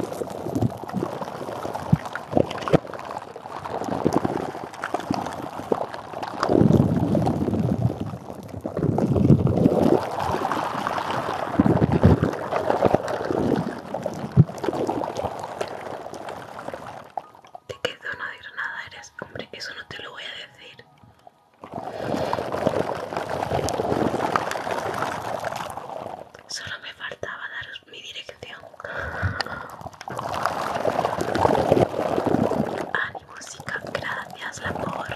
no de Granada eres? Hombre, que eso no te lo voy a decir. Solo me faltaba daros mi dirección. y música gracias, la porre.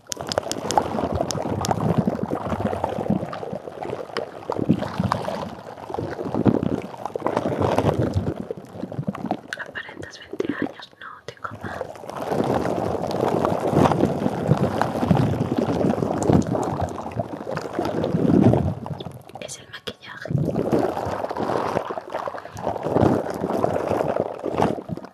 Aparentas 20 años, no tengo más. Es el maquillaje.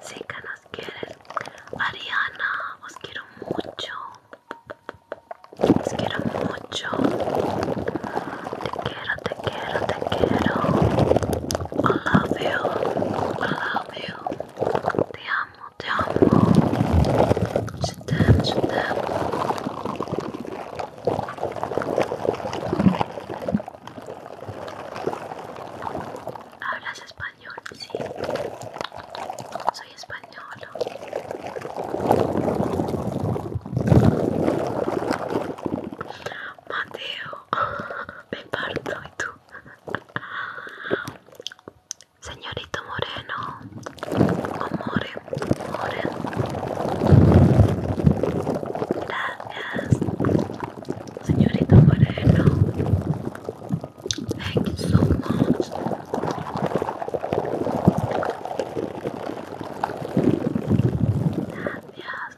Sí que nos quieres, Ariana, os quiero mucho. Os quiero mucho mucho. Te quiero, te quiero, te quiero. I love you. I love you. Te amo, te amo. Je t'aime, Hablas español, sí. Soy español. Mateo, me parto y tú. Señorito Moreno, amor, Moreno Gracias. Señorito Moreno. Thank you so much. Gracias.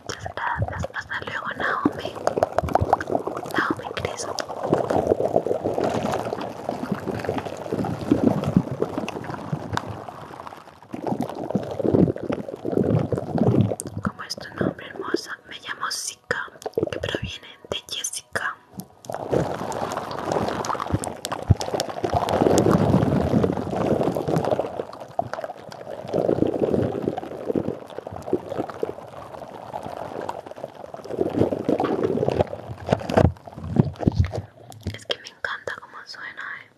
muchas gracias. Hasta luego, Naomi. Naomi Cris. como es tu nombre, hermosa? Me llamo Zika, que proviene de Jessica. Es que me encanta cómo suena, eh.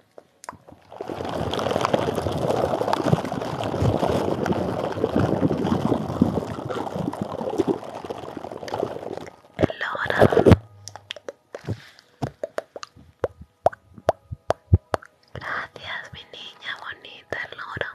Gracias, mi niña bonita, Loro.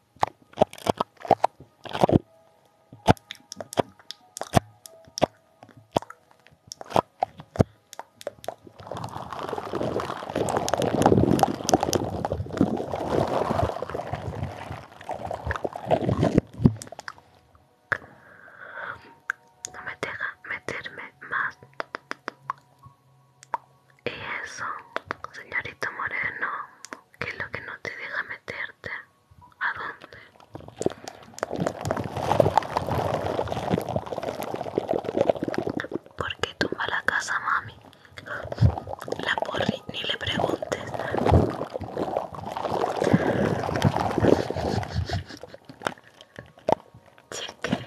No me deja meterme más. Y eso, señorito Moreno, ¿qué es lo que no te deja meterte? ¿A dónde? ¿Por qué tumba la casa, mami? La porri, ni le preguntes. Cheque.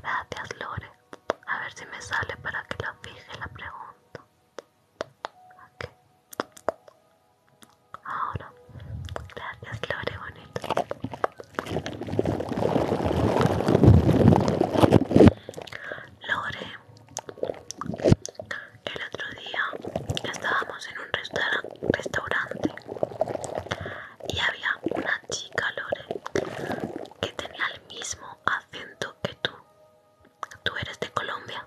Gracias, Lore. A ver si me sale para que lo fije la pregunta. Ok. Ahora, gracias, Lore, bonito. Lore, el otro día estábamos en un restaurante y había una chica, Lore, que tenía el mismo acento que tú. Tú eres de Colombia.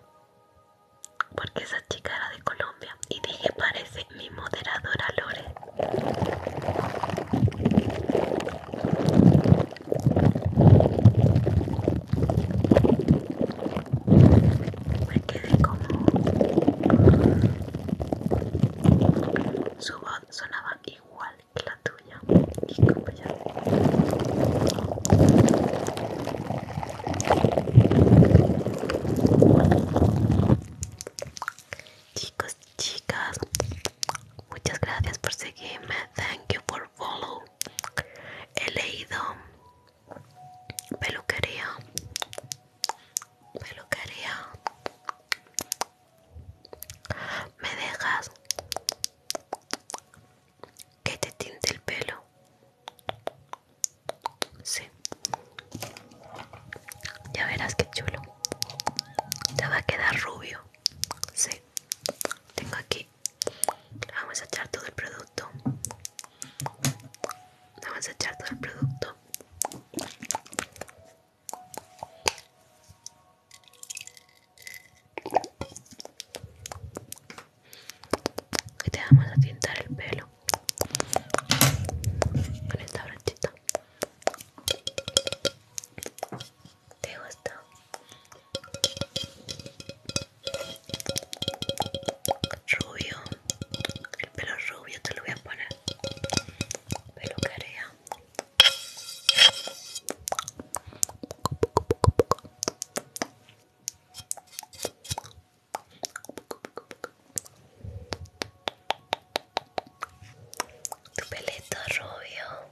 Porque esa chica era de Colombia. Y dije, parece mi moderadora Lore me quedé como su voz sonaba igual que la tuya y Chicos, chicas, muchas gracias por seguirme. Thank you for He leído peluquería, peluquería. Me dejas que te tinte el pelo. Sí. Ya verás qué chulo. Te va a quedar rubio. Sí. Tengo aquí vamos a echar todo el producto vamos a echar todo el producto y te vamos a tintar el pelo con esta brochita ¿Te gustó? Rubio, el pelo rubio te lo voy a poner. Pelo carea. Tu pelito rubio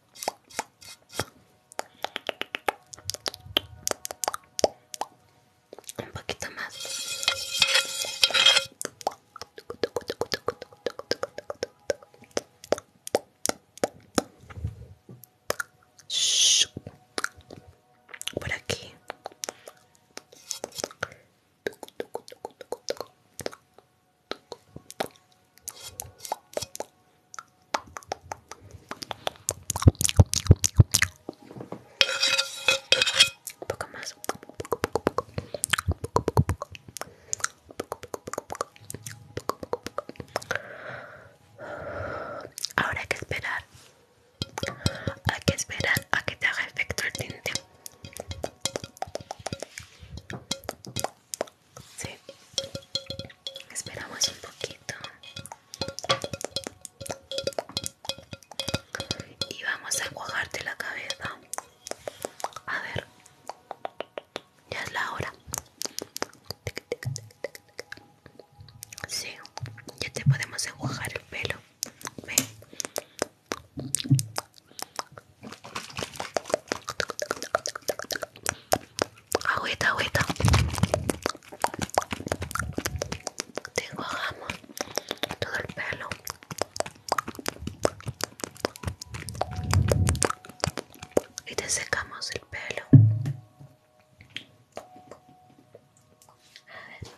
un poquito más por aquí un poco más. Ahora hay que esperar. Hay que esperar a que te haga efecto el tinte. Sí. Esperamos un poquito. Y vamos a enjuagarte la cabeza. A ver. Ya es la hora. Sí, ya te podemos enjuagar el pelo. Ven. Agüita, agüita. Te enjuagamos todo el pelo. Y te secamos el pelo. A ver.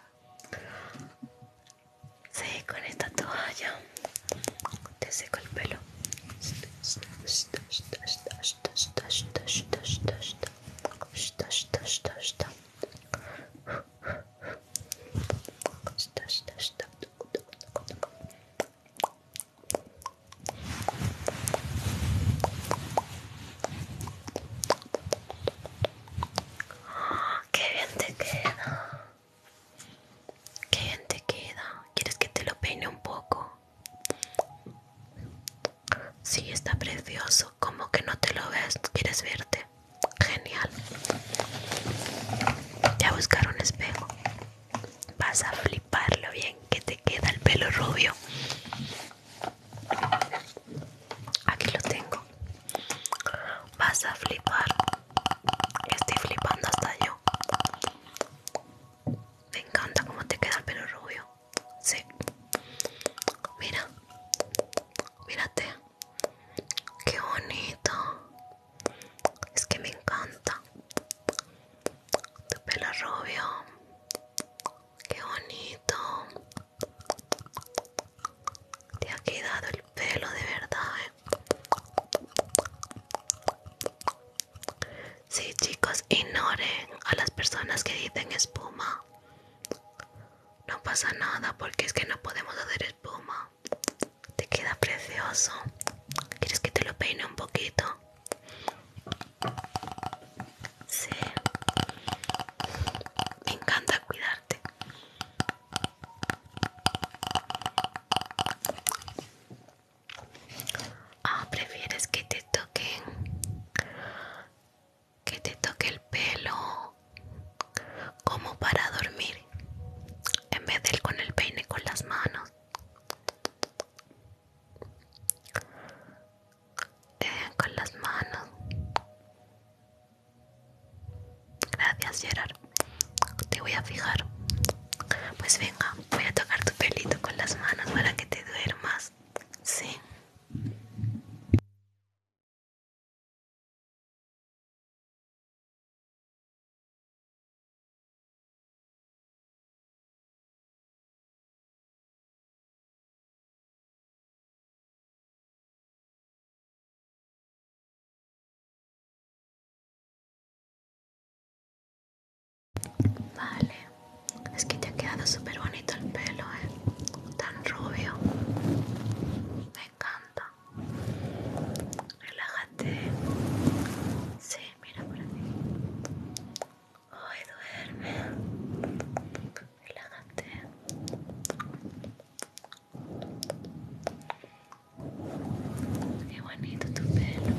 con esta toalla te seco el pelo. ¡Qué bien te queda! Qué bien te queda. ¿Quieres que te lo peine un poco? Sí, está precioso. como que no te lo ves? ¿Quieres verte? Genial. Voy a buscar un espejo. Vas a fliparlo bien que te queda el pelo rubio. Aquí lo tengo. Vas a flipar. Estoy flipando hasta yo. Me encanta cómo te queda el pelo rubio. Sí. Mira. Mírate. Qué bonito. Es que me encanta. Tu pelo rubio. Qué bonito. Te ha quedado el pelo de verdad. Eh. Sí, chicos, ignoren a las personas que dicen espuma. No pasa nada porque es que no podemos hacer espuma. Te queda precioso. ¿Quieres que te lo peine un poquito? Sí. Me encanta cuidarte. Ah, prefieres que te toquen que te toque el pelo como para dormir en vez de con el peine con las manos. con las manos. Gracias, Gerard te voy a fijar. Pues venga, voy a tocar tu pelito con las manos para que te duermas. Sí. Vale, es que te ha quedado súper bonito el pelo, ¿eh? Tan rubio. Me encanta. Relájate. Sí, mira por aquí. Hoy duerme. Relájate. Qué bonito tu pelo.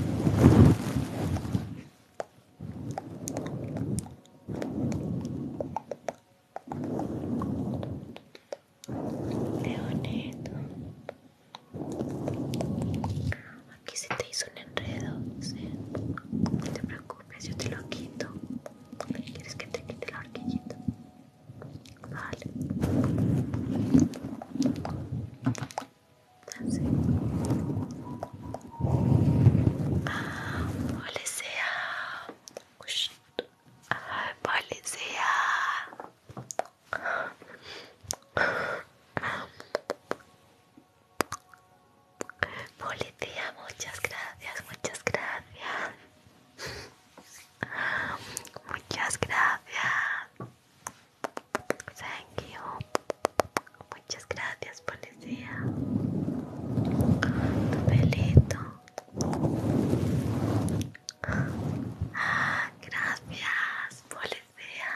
Qué bonito. Aquí se te hizo un enredo, ¿sí? No te preocupes, yo te lo quito. ¿Quieres que te quite la horquilla? Vale. Policía. policía. Policía, muchas gracias, muchas gracias. Muchas gracias. Thank you. Muchas gracias, policía. Tu pelito. Ah, gracias, policía.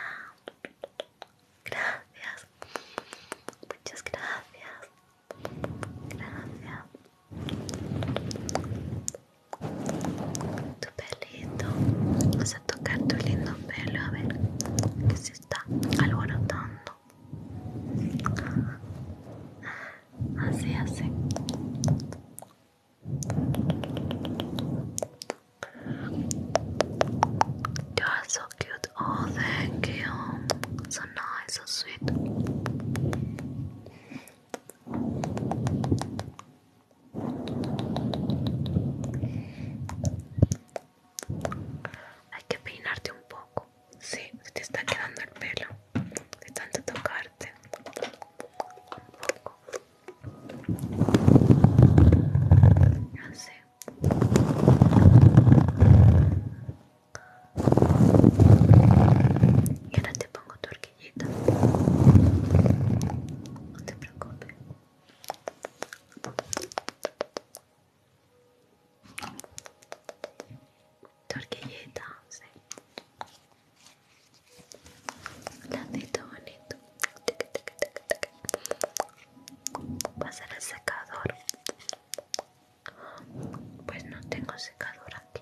Gracias. Muchas gracias. Gracias tu pelito vas a tocar tu lindo pelo a ver que se está alborotando así así you are so cute oh thank you so nice so sweet hay que peinarte un poco. Sí, te está quedando el pelo de tanto tocarte. Un sé. Y ahora te pongo tu horquillita. No te preocupes. Torquillita, sí. tan bonito. Pasar el secador. Pues no tengo secador aquí.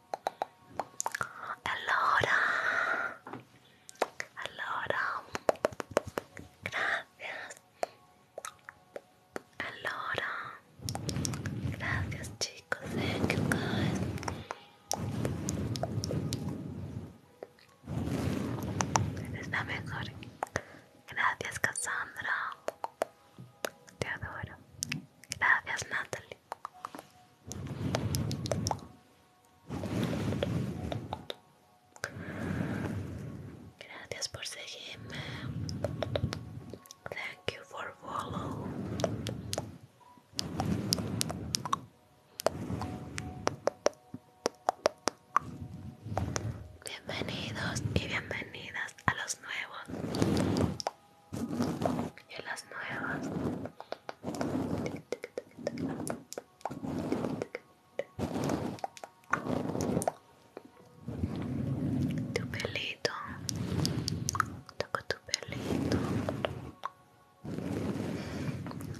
Alora, Alora, gracias. Alora, gracias chicos. Thank you mejor. Gracias Cassandra. Te adoro. Gracias Natalie. Gracias por seguirme. Thank you for follow. Bienvenidos y bienvenidas a los nuevos y las nuevas. Tu pelito, toco tu pelito,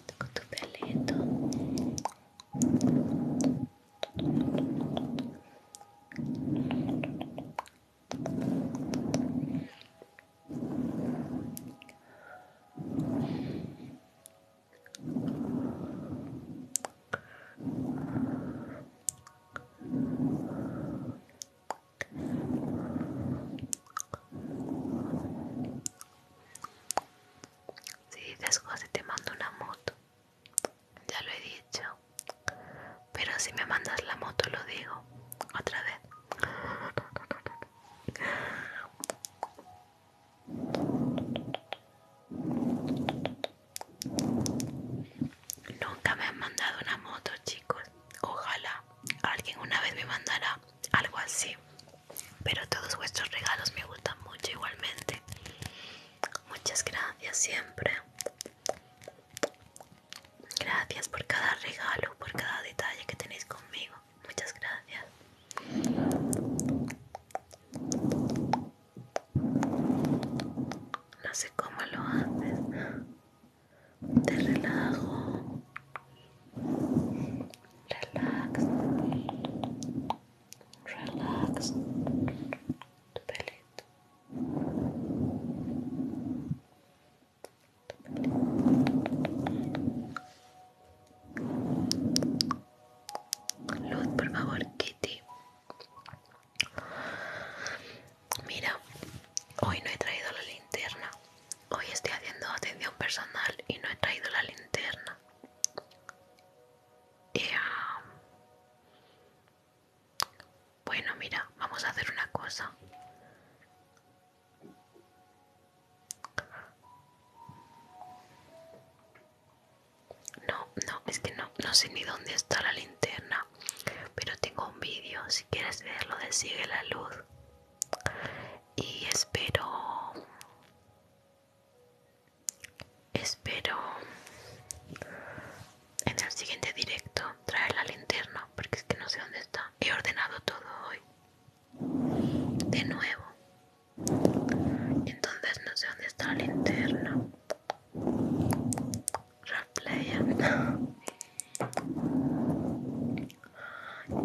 toco tu pelito. Toco Si dices José te mando una moto, ya lo he dicho, pero si me mandas la moto lo digo otra vez. Nunca me han mandado una moto, chicos. Ojalá alguien una vez me mandara algo así. Pero todos vuestros regalos me gustan mucho igualmente. Muchas gracias siempre. Gracias por cada regalo, por cada detalle que tenéis conmigo muchas gracias. No sé cómo lo haces. Te relajo. Relax. Relax. Tu pelito. Luz, por favor, Kitty. Mira, hoy no he traído la linterna. Hoy estoy haciendo atención personal y no he traído la linterna. Ah, bueno, mira, vamos a hacer una cosa. No, no, es que no, no sé ni dónde está la linterna, pero tengo un vídeo, si quieres verlo de Sigue la Luz. Y espero... Espero en el siguiente directo traer la linterna porque es que no sé dónde está. He ordenado todo hoy de nuevo. Entonces no sé dónde está la linterna. Replaya.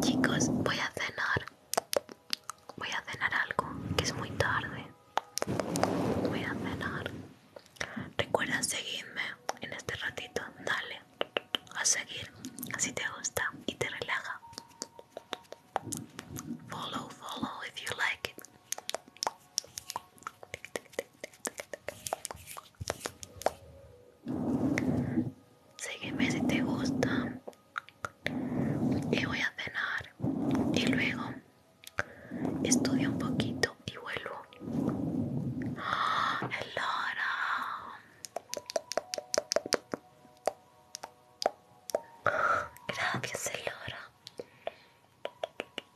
Chicos, voy a cenar. Voy a cenar algo, que es muy tarde. Voy a cenar. Recuerda seguirme en este ratito. Dale a seguir si te gusta y te relaja. Follow, follow if you like it. Sígueme si te gusta. Y voy a cenar. Y luego estudio un poquito y vuelvo. ¡Ah, Elora. Gracias, Elora.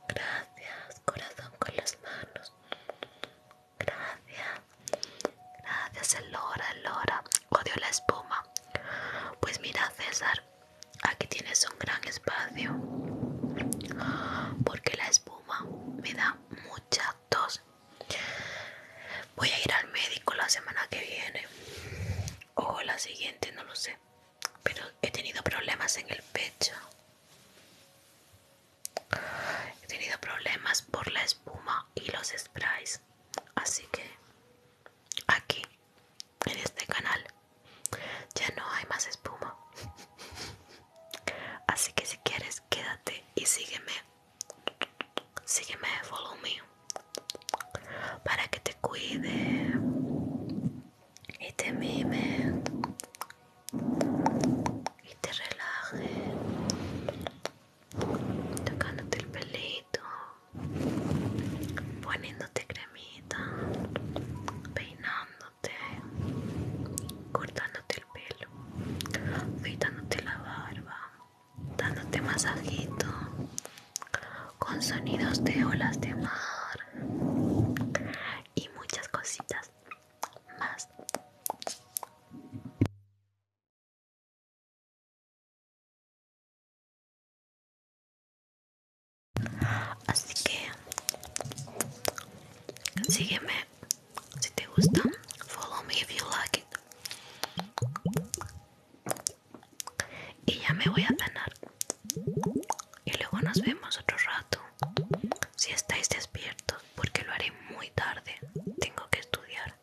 Gracias, corazón con las manos. Gracias. Gracias, Elora, Elora. Odio la espuma. Pues mira, César, aquí tienes un gran espacio. Porque la espuma me da mucha tos. Voy a ir al médico la semana que viene o la siguiente, no lo sé. Pero he tenido problemas en el pecho. He tenido problemas por la espuma y los sprays. Así que aquí, en este canal, ya no hay más espuma. Así que si quieres, quédate y sígueme sígueme me para que te cuide y te mime y te relaje tocándote el pelito poniéndote cremita peinándote cortándote el pelo fijándote la barba dándote masajito con sonidos de olas de mar y muchas cositas más. Así que sígueme si te gusta, follow me if you like it. Y ya me voy a cenar. Y luego nos vemos otro rato. Si estáis despiertos, porque lo haré muy tarde. Tengo que estudiar.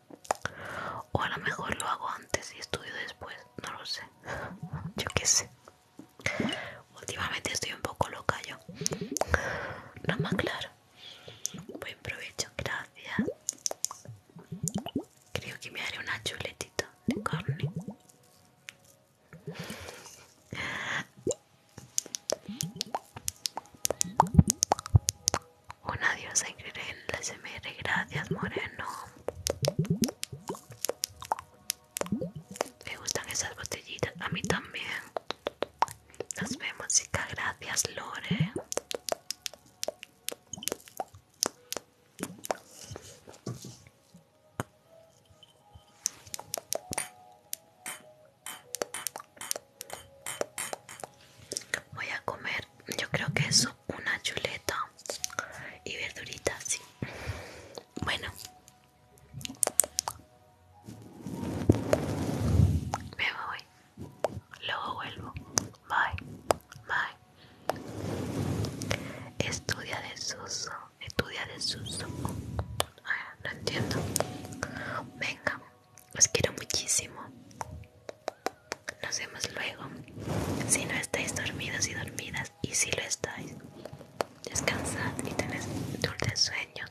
O a lo mejor lo hago antes y estudio después. No lo sé. Yo qué sé. Últimamente estoy un poco loca yo. No más claro. Buen provecho, gracias. Creo que me haré una chuletita de carne. un adiós increíble en la SMR, gracias Moreno. Me gustan esas botellitas, a mí también. Nos vemos, chica. gracias Lore. Voy a comer, yo creo que eso, una chuleta y verduritas, sí. Bueno, me voy. Luego vuelvo. Bye. Bye. Estudia de Suso Estudia de Suso ah, no entiendo. Venga. Os quiero muchísimo. Nos vemos luego. Si no estáis dormidos y dormidas, y si lo estáis, descansad y tened dulces sueños.